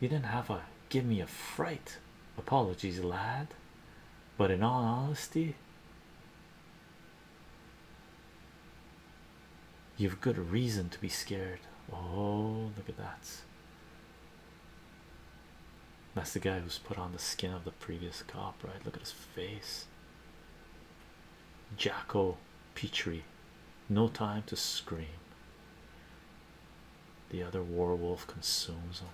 you didn't have a give me a fright. Apologies, lad. But in all honesty, you've good reason to be scared. Oh, look at that. That's the guy who's put on the skin of the previous cop, right? Look at his face. Jacko Petrie. No time to scream the other werewolf consumes them.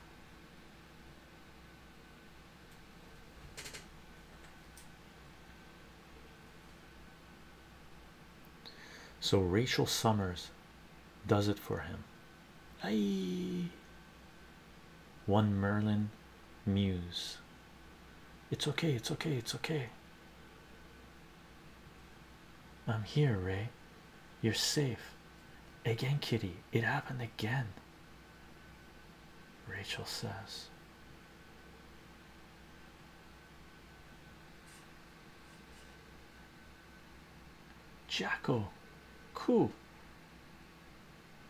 So Rachel Summers does it for him. Aye. One Merlin muse. It's okay, it's okay, it's okay. I'm here, Ray. You're safe again, Kitty. It happened again. Rachel says, Jacko, cool.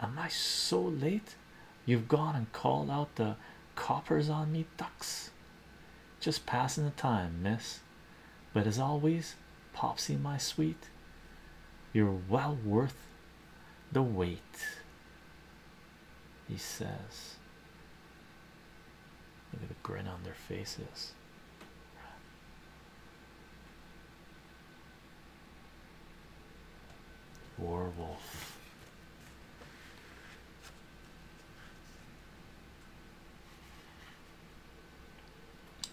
Am I so late? You've gone and called out the coppers on me, ducks. Just passing the time, miss. But as always, Popsy, my sweet, you're well worth the wait. He says, Look at the grin on their faces. Warwolf.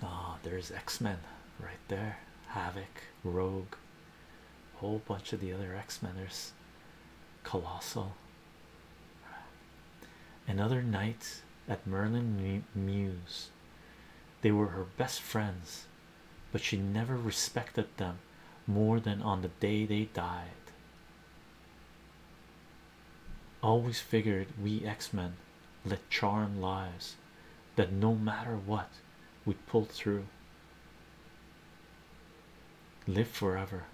Oh, there's X-Men right there. Havoc, Rogue, whole bunch of the other X-Meners. Colossal. Another night at Merlin Muse. They were her best friends, but she never respected them more than on the day they died. Always figured we X-Men let charm lives that no matter what we pull through. Live forever,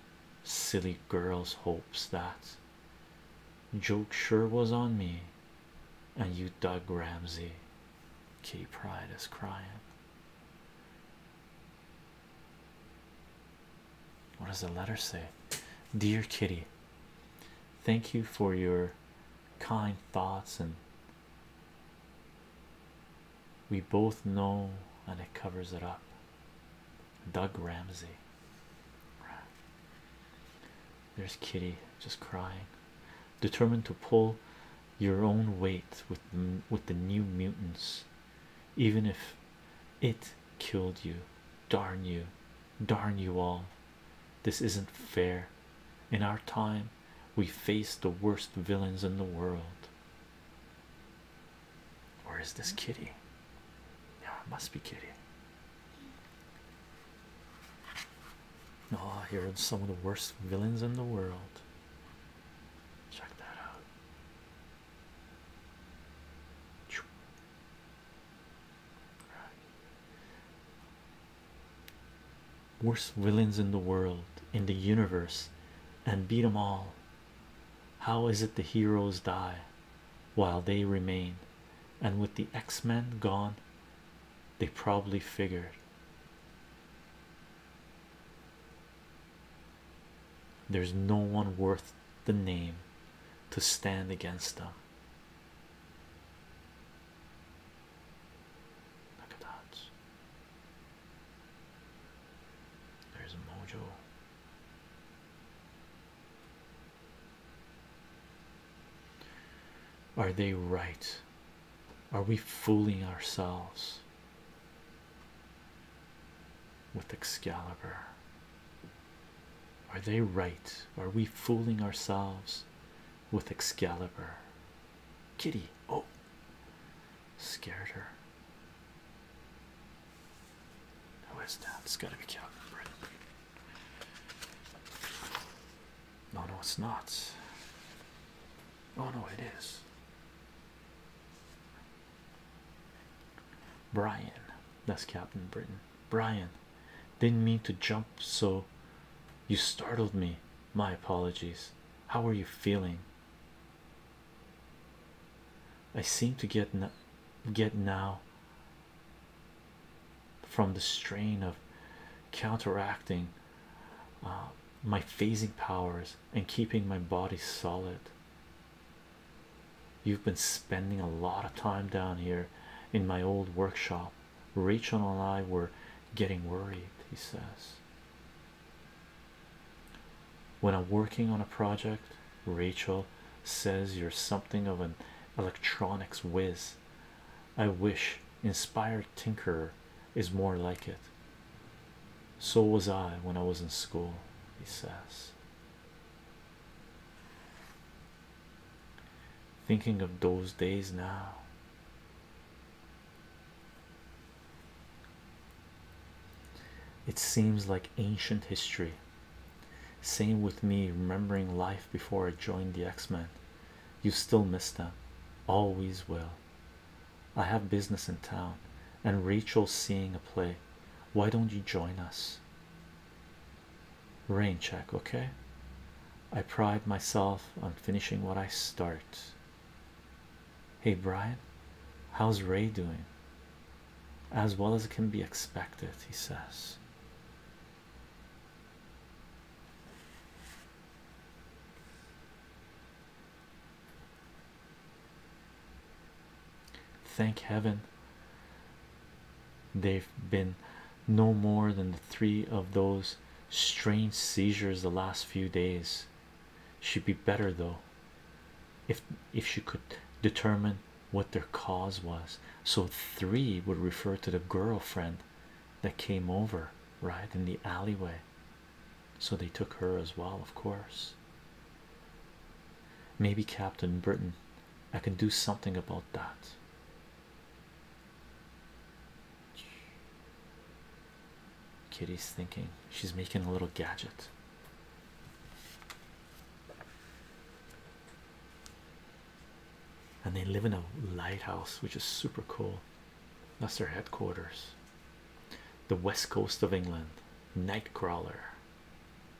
silly girls' hopes that joke sure was on me, and you Doug Ramsey. K Pride is crying. What does the letter say? Dear Kitty, Thank you for your kind thoughts, and we both know, and it covers it up. Doug Ramsey. There's Kitty just crying, determined to pull your own weight with with the new mutants, even if it killed you. Darn you, darn you all. This isn't fair. In our time, we face the worst villains in the world. Where is this kitty? Yeah, it must be kitty. Oh, here are some of the worst villains in the world. Check that out. Worst villains in the world, in the universe, and beat 'em all. How is it the heroes die while they remain? And with the X Men gone, they probably figured there's no one worth the name to stand against them. Look at that. There's Mojo. Are they right? Are we fooling ourselves with Excalibur? Are they right? Are we fooling ourselves with Excalibur? Kitty, oh, scared her. Who is that? It's got to be Calvin Britain. No, no, it's not. Oh, no, it is. Brian, that's Captain Britain. Brian, didn't mean to jump, so you startled me. My apologies. How are you feeling? I seem to get get now from the strain of counteracting uh, my phasing powers and keeping my body solid. You've been spending a lot of time down here in my old workshop. Rachel and I were getting worried, he says. When I'm working on a project, Rachel says you're something of an electronics whiz. I wish inspired tinkerer is more like it. So was I when I was in school, he says. Thinking of those days now. It seems like ancient history. Same with me remembering life before I joined the X Men. You still miss them, always will. I have business in town, and Rachel's seeing a play. Why don't you join us? rain check okay i pride myself on finishing what i start hey brian how's ray doing as well as can be expected he says thank heaven They've been no more than the three of those strange seizures the last few days. She'd be better though if if she could determine what their cause was. So three would refer to the girl friend that came over right in the alleyway. So they took her as well, of course. Maybe Captain Britain. I can do something about that. Kitty's thinking she's making a little gadget. And they live in a lighthouse, which is super cool. That's their headquarters. The west coast of England, Nightcrawler.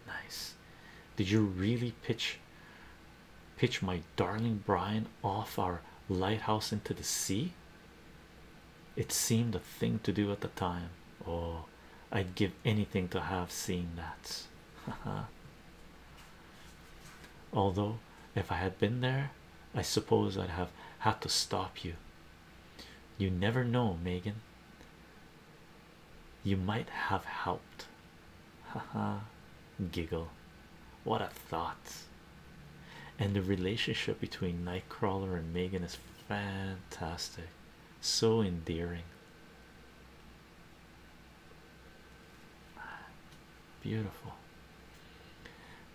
Nice. Did you really pitch pitch my darling Brian off our lighthouse into the sea? It seemed the thing to do at the time. Oh, I'd give anything to have seen that. <laughs> Although, if I had been there, I suppose I'd have had to stop you. You never know, Megan. You might have helped. Ha ha, giggle what a thought and the relationship between nightcrawler and megan is fantastic so endearing beautiful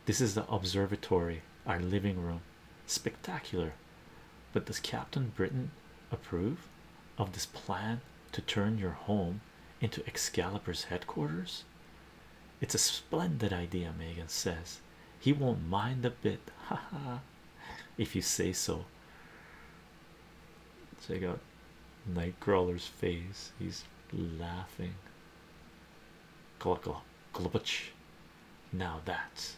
this is the observatory our living room spectacular but does captain britain approve of this plan to turn your home into Excalibur's headquarters? It's a splendid idea, Megan says. He won't mind a bit, <laughs> Ha ha! if you say so. Check out Nightcrawler's face, he's laughing. Glug Now that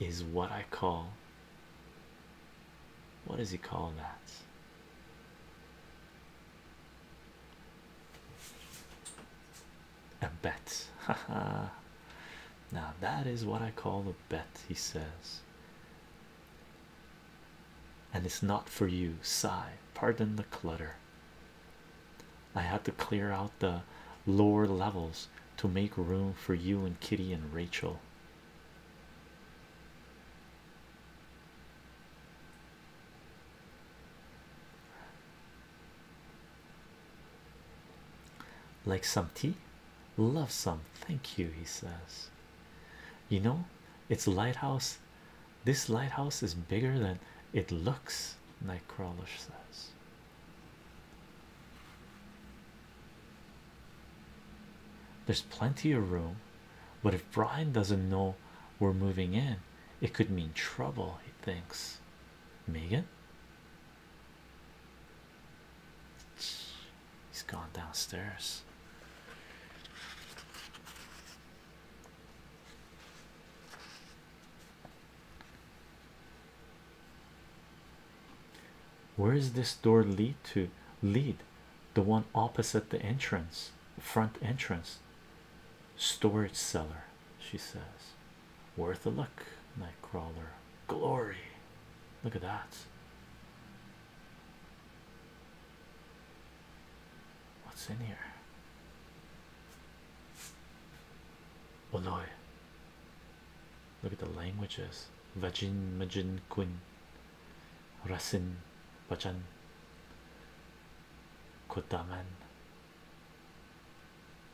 is what I call what does he call that? A bet. <laughs> now that is what I call a bet, he says. And it's not for you, sigh. Pardon the clutter. I had to clear out the lower levels to make room for you and Kitty and Rachel. Like some tea, love some. Thank you, he says. You know, it's lighthouse. This lighthouse is bigger than it looks, Nightcrawler says. There's plenty of room, but if Brian doesn't know we're moving in, it could mean trouble, he thinks. Megan, he's gone downstairs. Where does this door lead to lead the one opposite the entrance front entrance storage cellar she says worth a look nightcrawler glory look at that what's in here Oh no! Look at the languages. Vajin Majin, Quin, Rasin Bajan Kodaman.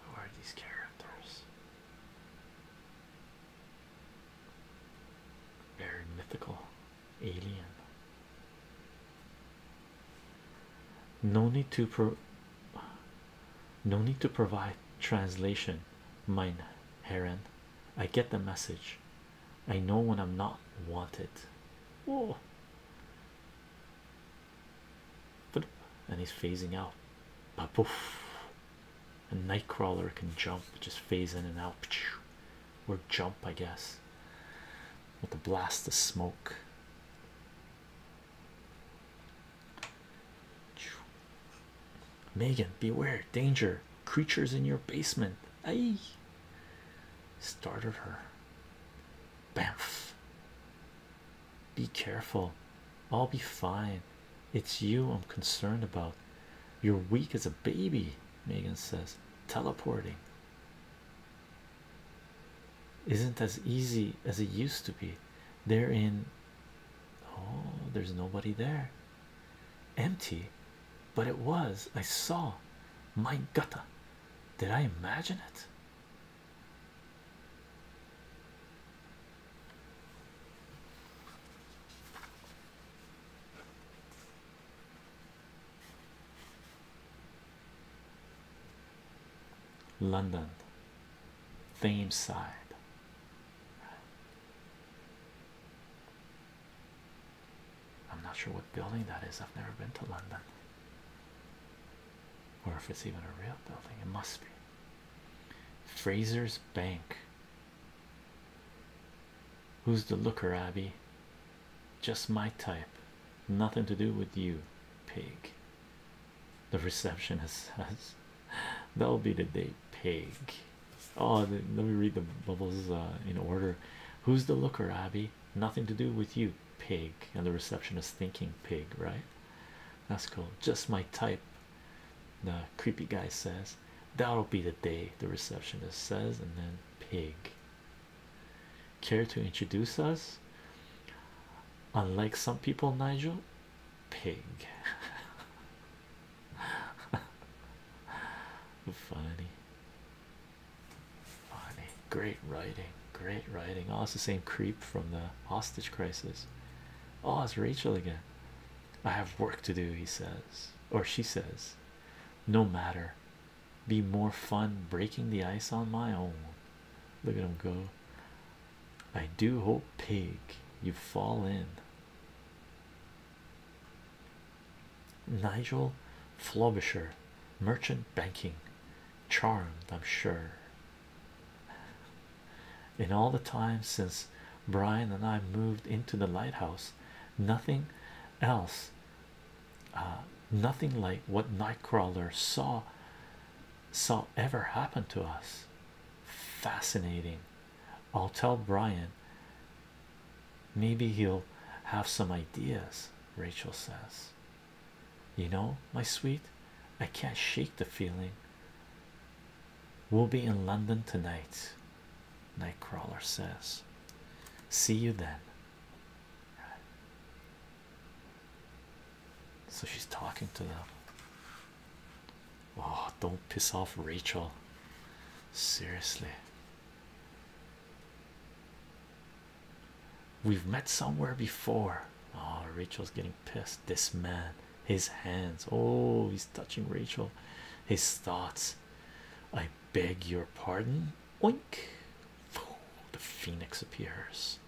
Who are these characters? Very mythical alien. No need to pro no need to provide translation, mine Heron I get the message. I know when I'm not wanted. Whoa. And he's phasing out. Poof. A nightcrawler can jump, just phase in and out. Or jump, I guess. With a blast of smoke. Megan, beware, danger, creatures in your basement. Aye. Started her. Bamf. Be careful. I'll be fine. It's you I'm concerned about. You're weak as a baby, Megan says. Teleporting isn't as easy as it used to be. They're in. Oh, there's nobody there empty, but it was. I saw my gutter. Did I imagine it? London, Thameside. I'm not sure what building that is. I've never been to London. Or if it's even a real building, it must be. Fraser's Bank. Who's the looker, Abby? Just my type. Nothing to do with you, pig. The receptionist says, <laughs> That'll be the day, pig. Oh, let me read the bubbles uh, in order. Who's the looker, Abby? Nothing to do with you, pig. And the receptionist thinking pig, right? That's cool. Just my type. The creepy guy says, That'll be the day, the receptionist says, and then pig. Care to introduce us? Unlike some people, Nigel, pig. <laughs> <laughs> Funny. Funny. Great writing. Great writing. Oh, it's the same creep from the hostage crisis. Oh, it's Rachel again. I have work to do, he says, or she says. No matter. Be more fun breaking the ice on my own. Look at him go. I do hope, pig, you fall in. Nigel Flobisher, merchant banking, charmed, I'm sure. In all the time since Brian and I moved into the lighthouse, nothing else, uh, nothing like what Nightcrawler saw saw ever happen to us. Fascinating, I'll tell Brian. Maybe he'll have some ideas, Rachel says. You know, my sweet, I can't shake the feeling. We'll be in London tonight, Nightcrawler says. See you then. So she's talking to them. Oh, don't piss off Rachel. Seriously. We've met somewhere before. Oh, Rachel's getting pissed. This man, his hands. Oh, he's touching Rachel. His thoughts. I beg your pardon. Oink. The phoenix appears.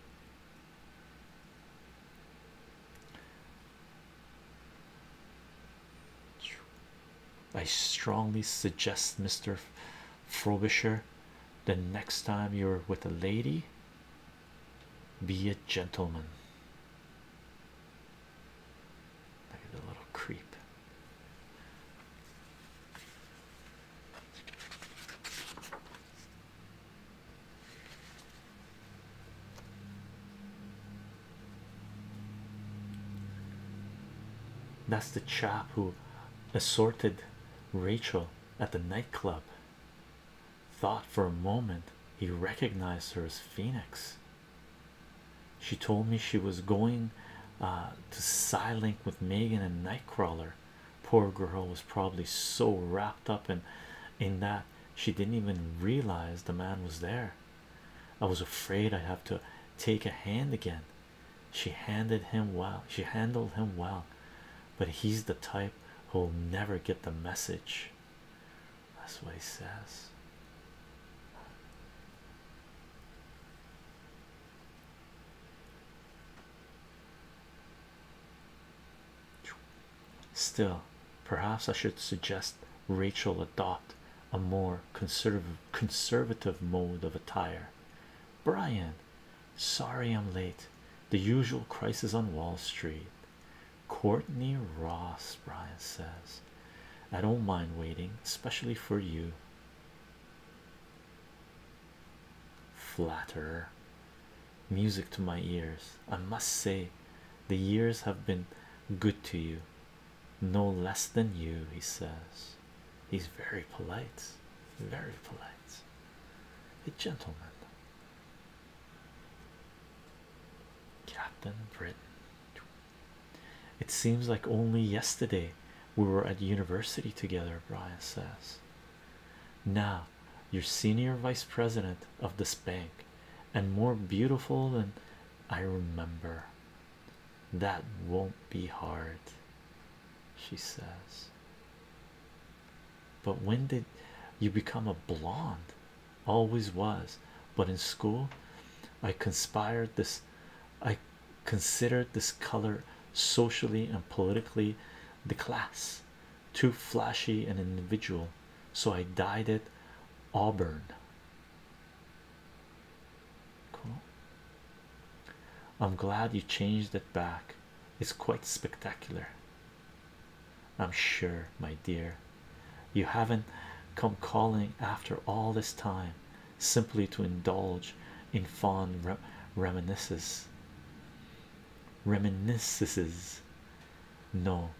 I strongly suggest, Mr. Frobisher, the next time you're with a lady, be a gentleman. Look at the little creep. That's the chap who assaulted Rachel at the nightclub. Thought for a moment he recognized her as Phoenix. She told me she was going uh, to Silink with Megan and Nightcrawler. Poor girl was probably so wrapped up in in that she didn't even realize the man was there. I was afraid I would have to take a hand again. She handed him well, she handled him well, but he's the type who'll never get the message. That's what he says. Still, perhaps I should suggest Rachel adopt a more conservative conservative mode of attire. Brian, sorry I'm late. The usual crisis on Wall Street. Courtney Ross, Brian says, I don't mind waiting, especially for you. Flatterer, music to my ears. I must say, the years have been good to you no less than you, he says. He's very polite, very polite, a gentleman. Captain Britain. It seems like only yesterday we were at university together, Brian says. Now you're senior vice president of this bank and more beautiful than I remember. That won't be hard, she says. But when did you become a blonde? Always was, but in school, I conspired this. I considered this color socially and politically the class too flashy and individual, so I dyed it auburn. Cool. I'm glad you changed it back. It's quite spectacular. I'm sure, my dear. You haven't come calling after all this time simply to indulge in fond reminiscences. Reminiscences. No,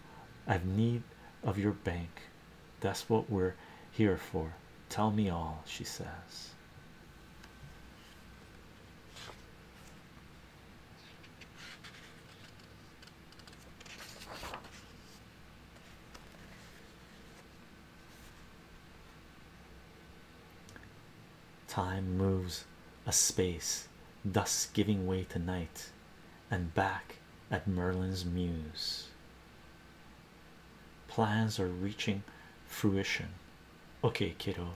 I've need of your bank that's what we're here for. Tell me all, she says. Time moves a space, thus giving way to night, and back at Merlin's muse plans are reaching fruition. Okay, kiddo,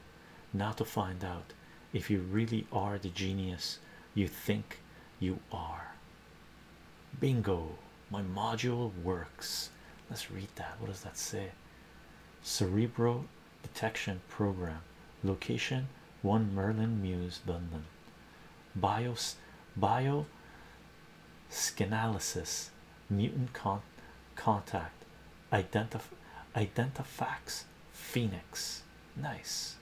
now to find out if you really are the genius you think you are. Bingo, my module works. Let's read that. What does that say? Cerebral detection program, location one Merlin Muse, London. Bios bio Skinalysis, mutant con contact, identif identifax, phoenix. Nice.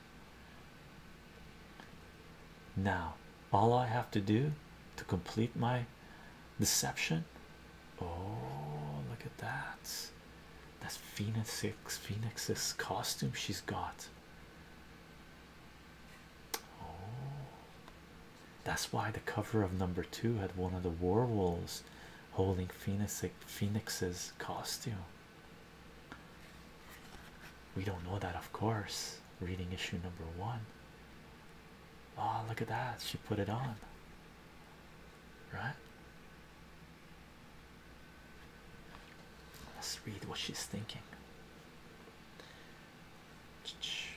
Now, all I have to do to complete my deception. Oh, look at that! That's Phoenix Phoenix's costume she's got. Oh. that's why the cover of number two had one of the werewolves holding Phoenix's costume. We don't know that, of course. Reading issue number one. Oh, look at that! She put it on, right? Let's read what she's thinking.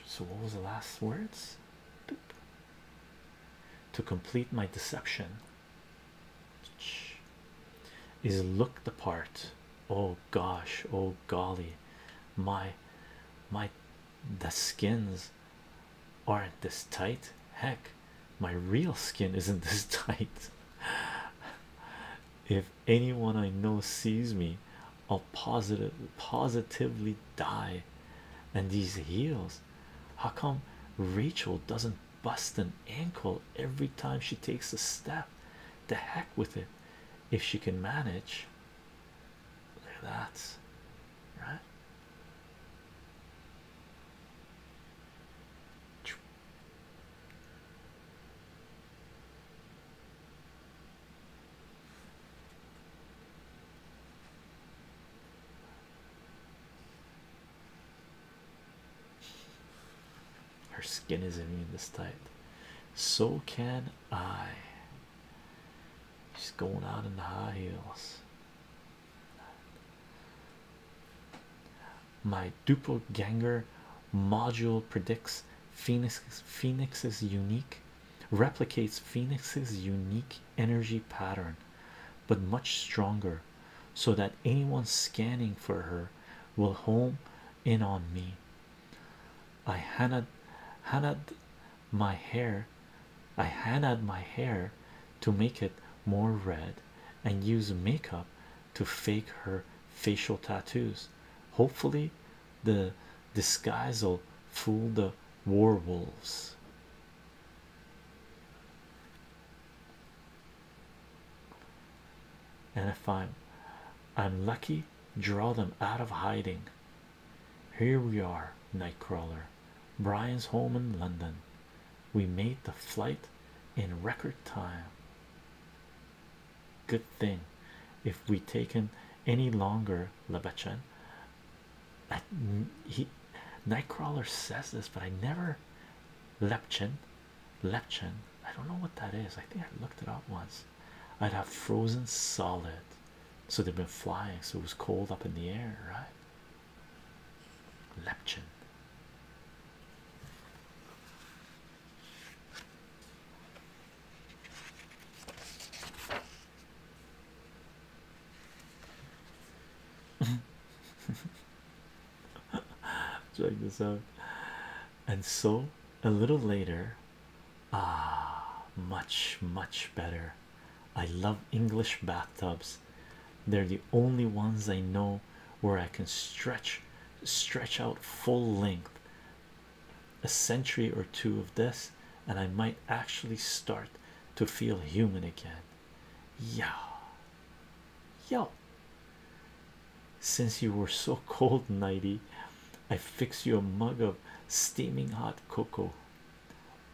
So, what was the last words? To complete my deception, is look the part. Oh gosh, oh golly, my my the skins aren't this tight. Heck, my real skin isn't <laughs> this tight. if anyone I know sees me, I'll positive positively die. And these heels, how come Rachel doesn't bust an ankle every time she takes a step? The heck with it, if she can manage. Look at that, right? Her skin is not even this tight. So can I. She's going out in the high heels. My doppelganger module predicts Phoenix Phoenix's unique replicates Phoenix's unique energy pattern but much stronger so that anyone scanning for her will home in on me i had my hair i had my hair to make it more red and use makeup to fake her facial tattoos hopefully the disguise'll fool the werewolves. And if I'm I'm lucky, draw them out of hiding. Here we are, Nightcrawler. Brian's home in London. We made the flight in record time. Good thing if we take him any longer, Labachan. he Nightcrawler says this, but I never Lepchin. Lepchin. I don't know what that is. I think I looked it up once. I'd have frozen solid. So they've been flying, so it was cold up in the air, right? Lepchin. <laughs> Check this out. And so a little later, ah, much, much better. I love English bathtubs. They're the only ones I know where I can stretch, stretch out full length a century or two of this, and I might actually start to feel human again. Yeah, yo. Since you were so cold, nighty, I fix you a mug of steaming hot cocoa.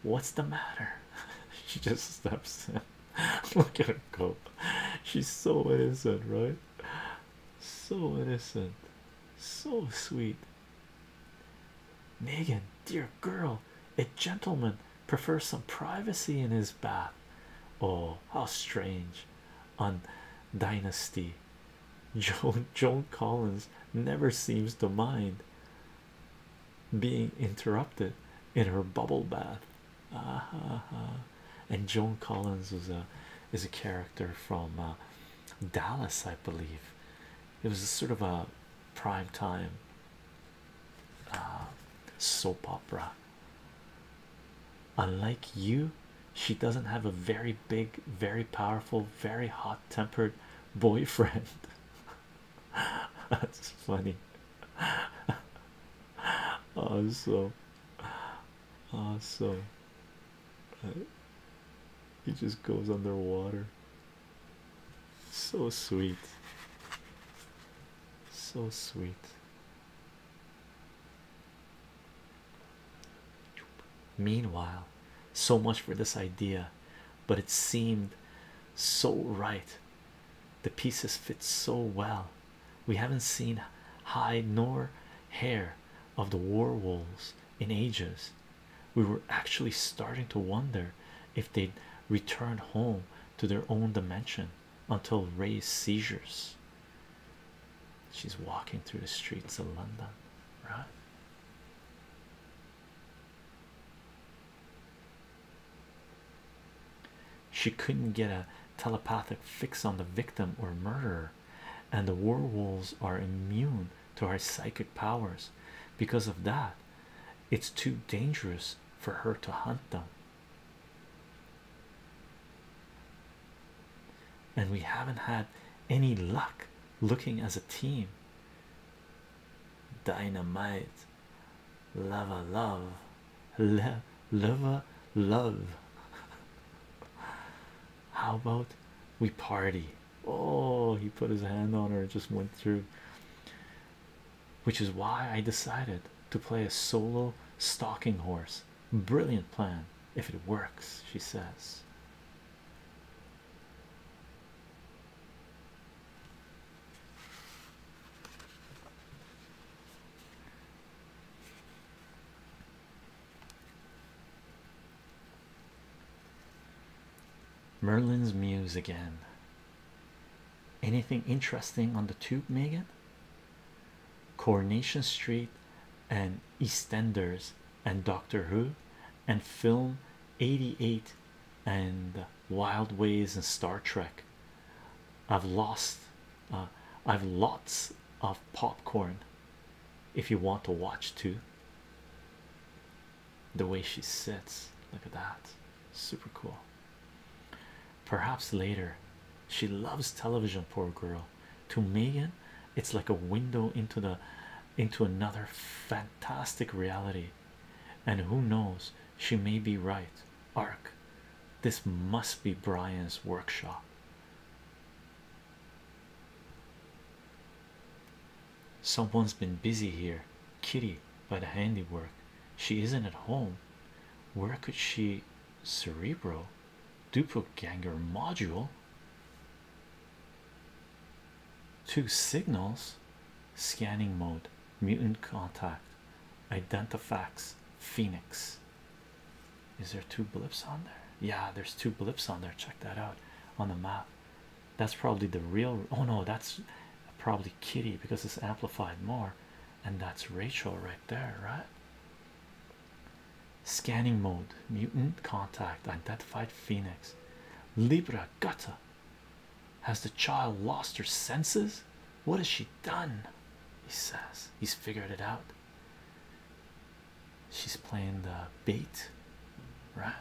What's the matter? <laughs> she just stops. <laughs> Look at her go. She's so innocent, right? So innocent, so sweet. Megan, dear girl, a gentleman prefers some privacy in his bath. Oh, how strange! On Dynasty, Joan, <laughs> Collins never seems to mind being interrupted in her bubble bath. Uh ah, -huh. And Joan Collins is a is a character from uh, Dallas, I believe. It was sort of a prime time uh, soap opera. Unlike you, she doesn't have a very big, very powerful, very hot tempered boyfriend. <laughs> That's funny. <laughs> Awesome. Awesome. It just goes underwater. So sweet. So sweet. Meanwhile, so much for this idea, but it seemed so right. The pieces fit so well. We haven't seen hide nor hair of the war wolves in ages we were actually starting to wonder if they'd returned home to their own dimension until Ray's seizures. She's walking through the streets of London, right? She couldn't get a telepathic fix on the victim or murderer, and the werewolves are immune to her psychic powers. Because of that, it's too dangerous for her to hunt them. And we haven't had any luck looking as a team. Dynamite, lava, love, Le lava, love. <laughs> How about we party? Oh, he put his hand on her and just went through, which is why I decided to play a solo stalking horse. Brilliant plan if it works, she says. Merlin's Muse again. Anything interesting on the tube, Megan? Coronation Street and EastEnders and Doctor Who and film 88 and Wild Ways and Star Trek. I've lost, uh, I've lots of popcorn if you want to watch too the way she sits. Look at that, super cool. Perhaps later, she loves television, poor girl. To Megan, it's like a window into the into another fantastic reality. And who knows, she may be right. Ark, this must be Brian's workshop. Someone's been busy here, Kitty, by the handiwork. She isn't at home. Where could she? Cerebro, duproganger module. Two signals, scanning mode, mutant contact, identifax, phoenix. Is there two blips on there? Yeah, there's two blips on there. Check that out on the map. That's probably the real. Oh no, that's probably Kitty because it's amplified more, and that's Rachel right there, right? Scanning mode, mutant contact, identified Phoenix, Libra Gutta. Has the child lost her senses? What has she done? He says he's figured it out she's playing the bait, right?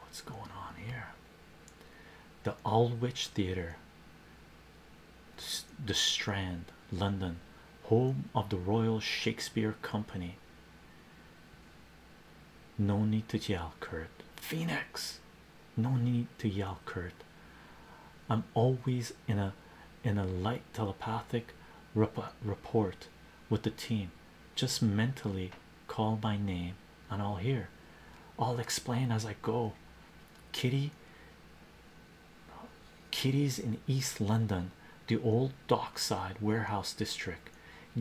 What's going on here? The Aldwych Theatre, the Strand, London, home of the Royal Shakespeare Company. No need to yell, Kurt. Phoenix, no need to yell, Kurt. I'm always in a in a light telepathic rep report with the team. Just mentally call my name and I'll hear. I'll explain as I go. Kitty Kitty's in East London, the old dockside warehouse district.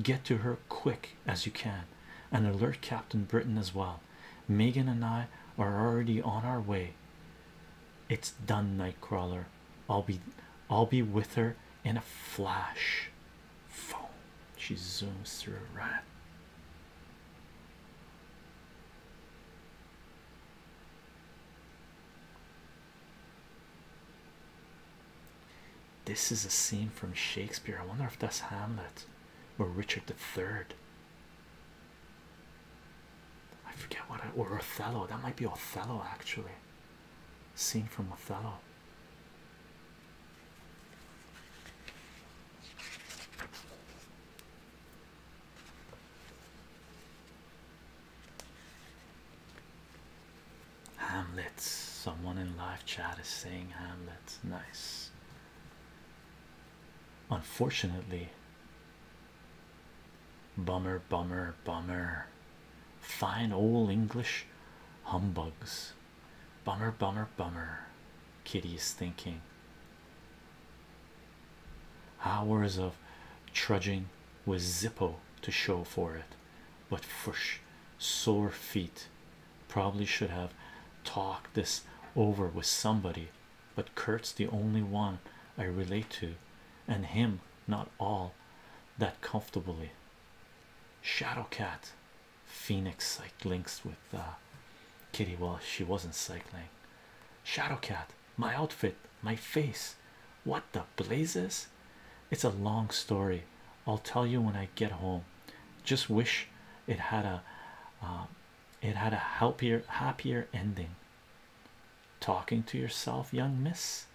Get to her quick as you can and alert Captain Britain as well. Megan and I are already on our way. It's done, Nightcrawler. I'll be I'll be with her in a flash. Phone. She zooms through a rat. This is a scene from Shakespeare. I wonder if that's Hamlet or Richard the Third. I forget what or Othello. That might be Othello actually. Scene from Othello. Hamlet. Someone in live chat is saying Hamlet. Nice. Unfortunately, bummer, bummer, bummer. Fine old English humbugs. Bummer, bummer, bummer. Kitty is thinking. Hours of trudging with Zippo to show for it, but fush, sore feet. Probably should have talked this over with somebody but Kurt's the only one I relate to, and him not all that comfortably. Shadowcat Phoenix psyched links with uh, Kitty. Well, she wasn't cycling. Shadowcat, my outfit, my face. What the blazes? It's a long story. I'll tell you when I get home. Just wish it had a uh, it had a happier happier ending talking to yourself young miss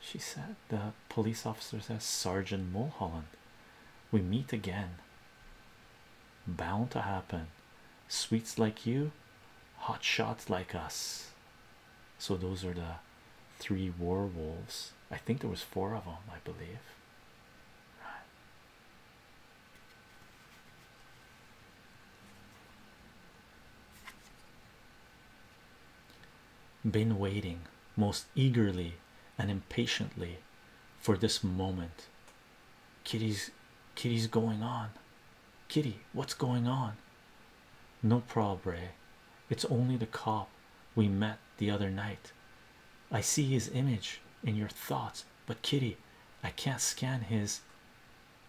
she said the police officer says sergeant mulholland we meet again bound to happen sweets like you hot shots like us so those are the three werewolves i think there was four of them i believe right been waiting most eagerly and impatiently for this moment. Kitty's kitty's going on. Kitty, what's going on? No prob, eh? It's only the cop we met the other night. I see his image in your thoughts, but Kitty, I can't scan his.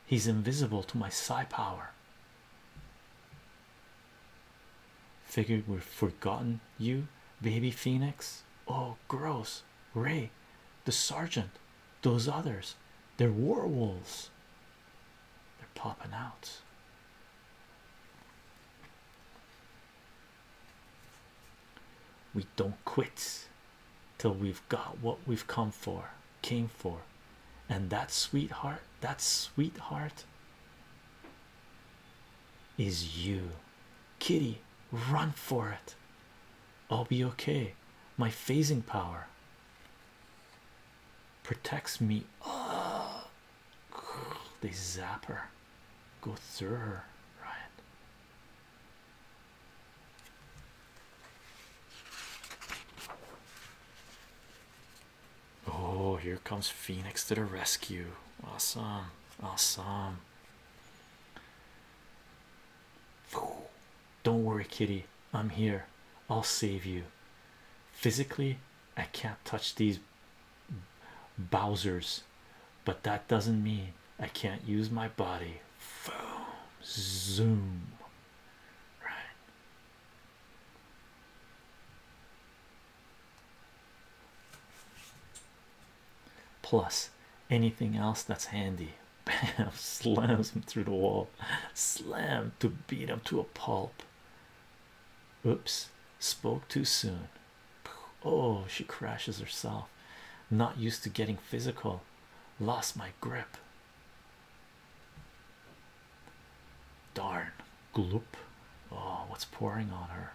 He's invisible to my psi power. Figured we've forgotten you, baby Phoenix. Oh, gross. Ray, the sergeant, those others, they're werewolves. They're popping out. We don't quit till we've got what we've come for, came for, and that sweetheart, that sweetheart is you, Kitty. Run for it. I'll be okay. My phasing power protects me. Oh, they zap her, go through her, Ryan. Oh, here comes Phoenix to the rescue. Awesome, awesome. Don't worry, kitty. I'm here. I'll save you. Physically, I can't touch these Bowser's, but that doesn't mean I can't use my body. Boom, zoom, right. Plus, anything else that's handy, <laughs> bam, slams him through the wall, slam to beat him to a pulp. Oops, spoke too soon. Oh, she crashes herself. Not used to getting physical. Lost my grip. Darn. Gloop. Oh, what's pouring on her?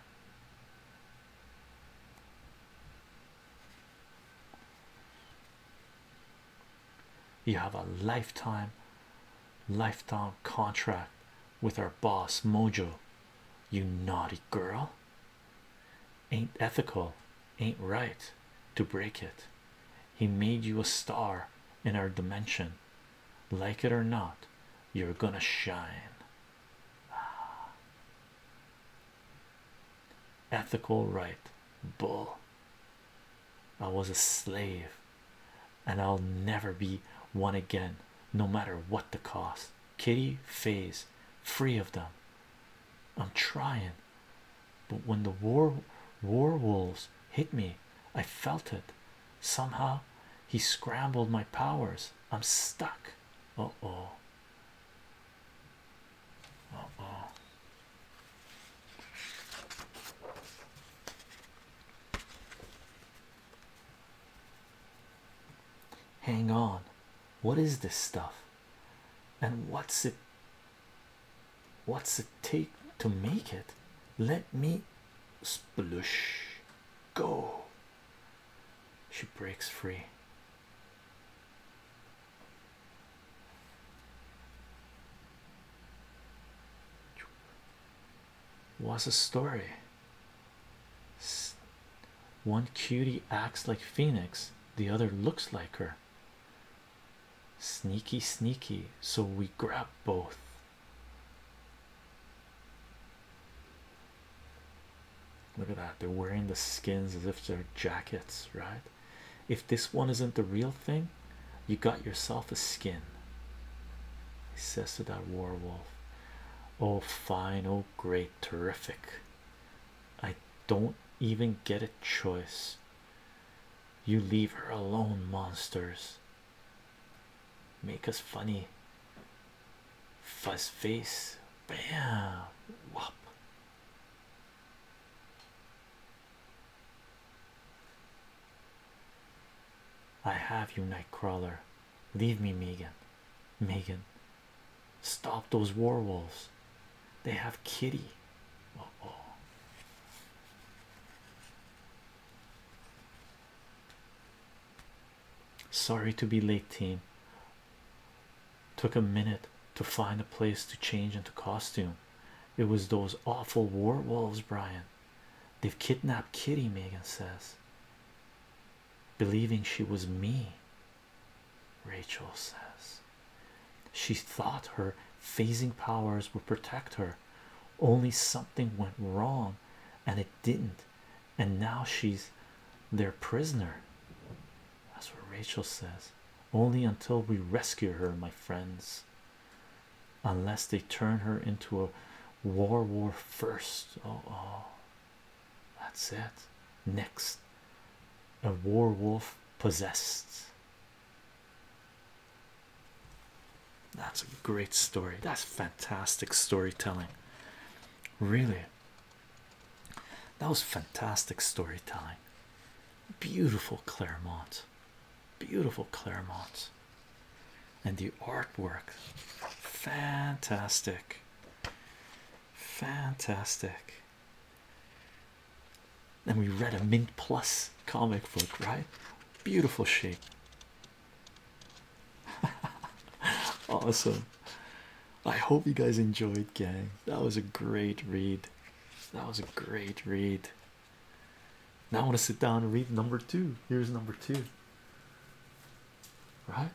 You have a lifetime, lifetime contract with our boss Mojo, you naughty girl. Ain't ethical, ain't right to break it. He made you a star in our dimension, like it or not, you're gonna shine. Ah. Ethical right, bull. I was a slave, and I'll never be one again, no matter what the cost. Kitty phase free of them. I'm trying, but when the war war wolves hit me, I felt it somehow. He scrambled my powers. I'm stuck. Uh oh. Uh oh. Hang on, what is this stuff? And what's it? What's it take to make it? Let me splush go. She breaks free. What's a story? One cutie acts like Phoenix, the other looks like her. Sneaky, sneaky, so we grab both. Look at that, they're wearing the skins as if they're jackets, right? If this one isn't the real thing, you got yourself a skin. He says to that werewolf, Oh, fine, oh, great, terrific. I don't even get a choice. You leave her alone, monsters. Make us funny. Fuzz face. Bam. wop. I have you, Nightcrawler. Leave me, Megan. Megan, Stop those werewolves. They have kitty. Uh oh. Sorry to be late, team. Took a minute to find a place to change into costume. It was those awful werewolves, Brian. They've kidnapped Kitty, Megan says, believing she was me. Rachel says she thought her phasing powers would protect her, only something went wrong and it didn't, and now she's their prisoner. That's what Rachel says. Only until we rescue her, my friends. Unless they turn her into a war war first. Oh, oh, that's it. Next, a werewolf possessed. That's a great story. That's fantastic storytelling. Really, that was fantastic storytelling. Beautiful Claremont, beautiful Claremont, and the artwork fantastic fantastic and we read a mint plus comic book right beautiful shape <laughs> awesome i hope you guys enjoyed gang that was a great read that was a great read now i want to sit down and read number two here's number two right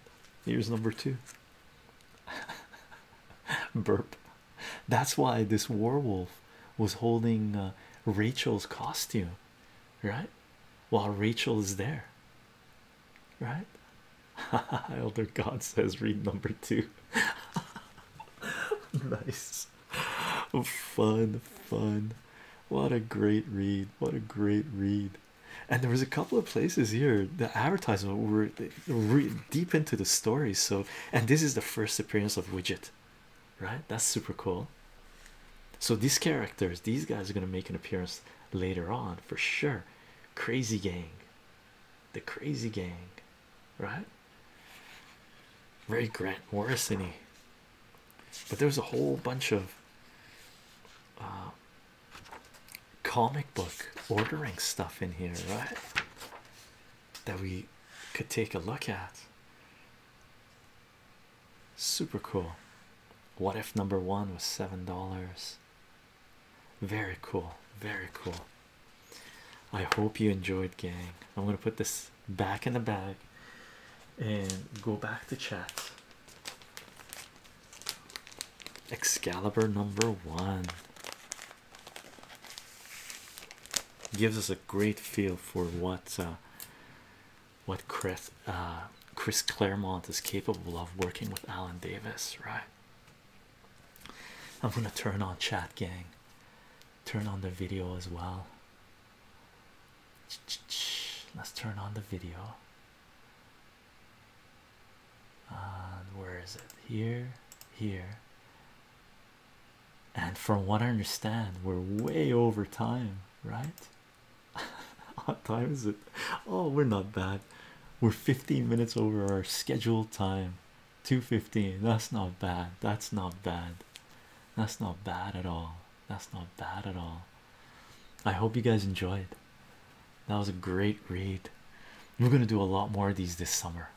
here's number two <laughs> burp that's why this werewolf was holding uh, Rachel's costume right while Rachel is there right <laughs> elder god says read number two <laughs> nice fun fun what a great read what a great read and there was a couple of places here the advertisement were deep into the story so and this is the first appearance of widget right that's super cool so these characters these guys are going to make an appearance later on for sure crazy gang the crazy gang right Ray grant Morrissey, -y. but there's a whole bunch of uh, comic book ordering stuff in here, right? That we could take a look at. Super cool. What if number one was seven dollars? Very cool, very cool. I hope you enjoyed, gang. I'm gonna put this back in the bag and go back to chat. Excalibur number one gives us a great feel for what uh, what Chris uh, Chris Claremont is capable of working with Alan Davis, right? I'm gonna turn on chat gang, turn on the video as well. Let's turn on the video where is it here here and from what I understand we're way over time right <laughs> what time is it oh we're not bad we're 15 minutes over our scheduled time 215 that's not bad that's not bad that's not bad at all that's not bad at all I hope you guys enjoyed that was a great read. We're gonna do a lot more of these this summer.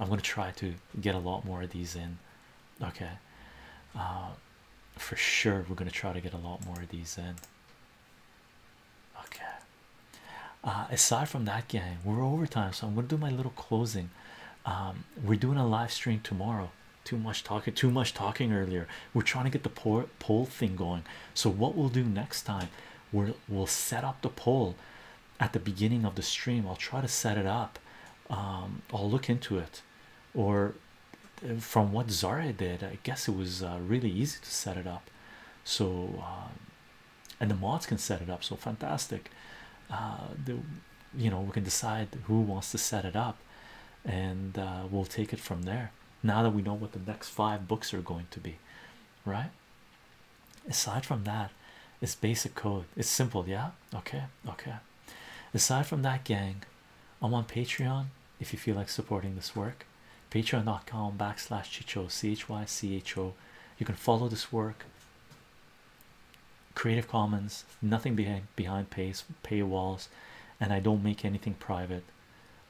I'm gonna try to get a lot more of these in. Okay, uh, for sure we're gonna try to get a lot more of these in. Okay. Uh, aside from that, gang, we're over time, so I'm gonna do my little closing. Um, we're doing a live stream tomorrow. Too much talking. Too much talking earlier. We're trying to get the poll poll thing going. So what we'll do next time, we are we'll set up the poll at the beginning of the stream. I'll try to set it up. Um, I'll look into it, or from what Zara did, I guess it was uh, really easy to set it up. So, uh, and the mods can set it up. So fantastic. Uh, the, you know, we can decide who wants to set it up, and we'll take it from there. Now that we know what the next five books are going to be, right? Aside from that, it's basic code, it's simple, yeah. Okay, okay. Aside from that, gang, I'm on Patreon if you feel like supporting this work. Patreon.com backslash Chicho C H Y C H O. You can follow this work. Creative Commons, nothing behind behind pay paywalls, and I don't make anything private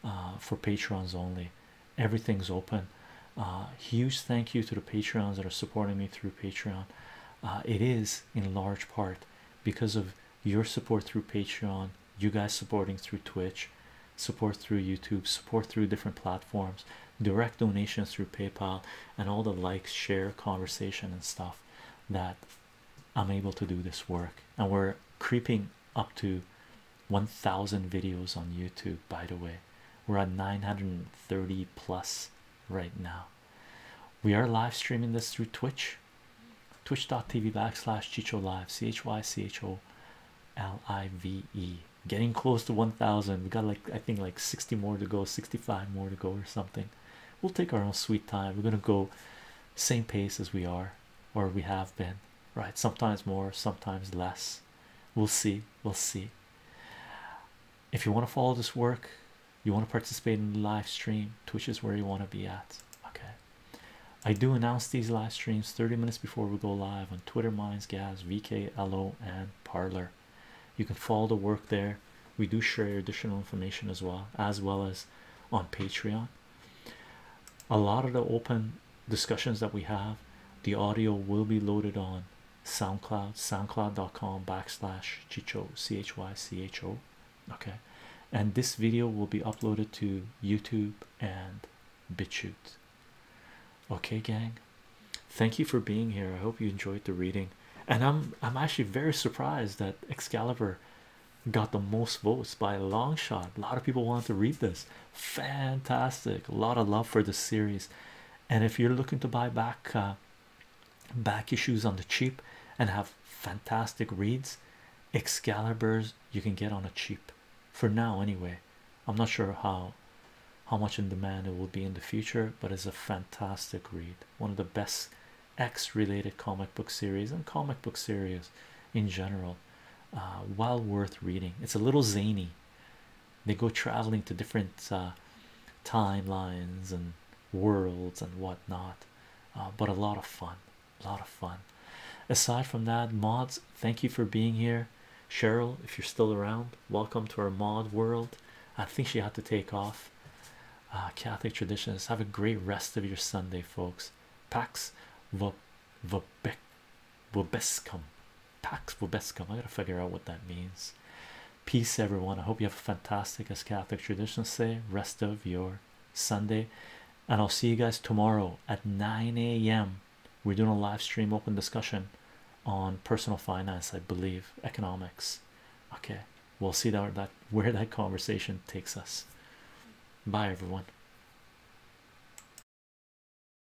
uh, for patrons only. Everything's open. Uh, huge thank you to the patrons that are supporting me through Patreon. Uh, it is in large part because of your support through Patreon, you guys supporting through Twitch, support through YouTube, support through different platforms, direct donations through PayPal, and all the likes, share, conversation, and stuff that I'm able to do this work. And we're creeping up to 1000 videos on YouTube, by the way. We're at 930 plus right now. We are live streaming this through Twitch, twitch.tv backslash Chicho Live, C H Y C H O L I V E. Getting close to 1000. We got like, I think, like 60 more to go, 65 more to go, or something. We'll take our own sweet time. We're going to go same pace as we are or we have been right sometimes more sometimes less we'll see we'll see if you want to follow this work you want to participate in the live stream twitch is where you want to be at okay i do announce these live streams 30 minutes before we go live on twitter minds Gaz, vk lo and parlor you can follow the work there we do share additional information as well as well as on patreon a lot of the open discussions that we have the audio will be loaded on soundcloud soundcloud.com backslash chicho c-h-y-c-h-o okay and this video will be uploaded to youtube and bitchute okay gang thank you for being here i hope you enjoyed the reading and i'm i'm actually very surprised that excalibur got the most votes by a long shot a lot of people wanted to read this fantastic a lot of love for this series and if you're looking to buy back uh, back issues on the cheap and have fantastic reads excalibur's you can get on a cheap for now anyway i'm not sure how how much in demand it will be in the future but it's a fantastic read one of the best x related comic book series and comic book series in general uh, well worth reading it's a little zany they go traveling to different uh, timelines and worlds and whatnot uh, but a lot of fun a lot of fun aside from that mods thank you for being here cheryl if you're still around welcome to our mod world i think she had to take off uh, catholic traditions have a great rest of your sunday folks pax Vobescum Pax Vobescum. I gotta figure out what that means. Peace, everyone. I hope you have a fantastic, as Catholic traditions say, rest of your Sunday. And I'll see you guys tomorrow at 9 a.m. We're doing a live stream open discussion on personal finance, I believe, economics. Okay, we'll see that, that where that conversation takes us. Bye, everyone.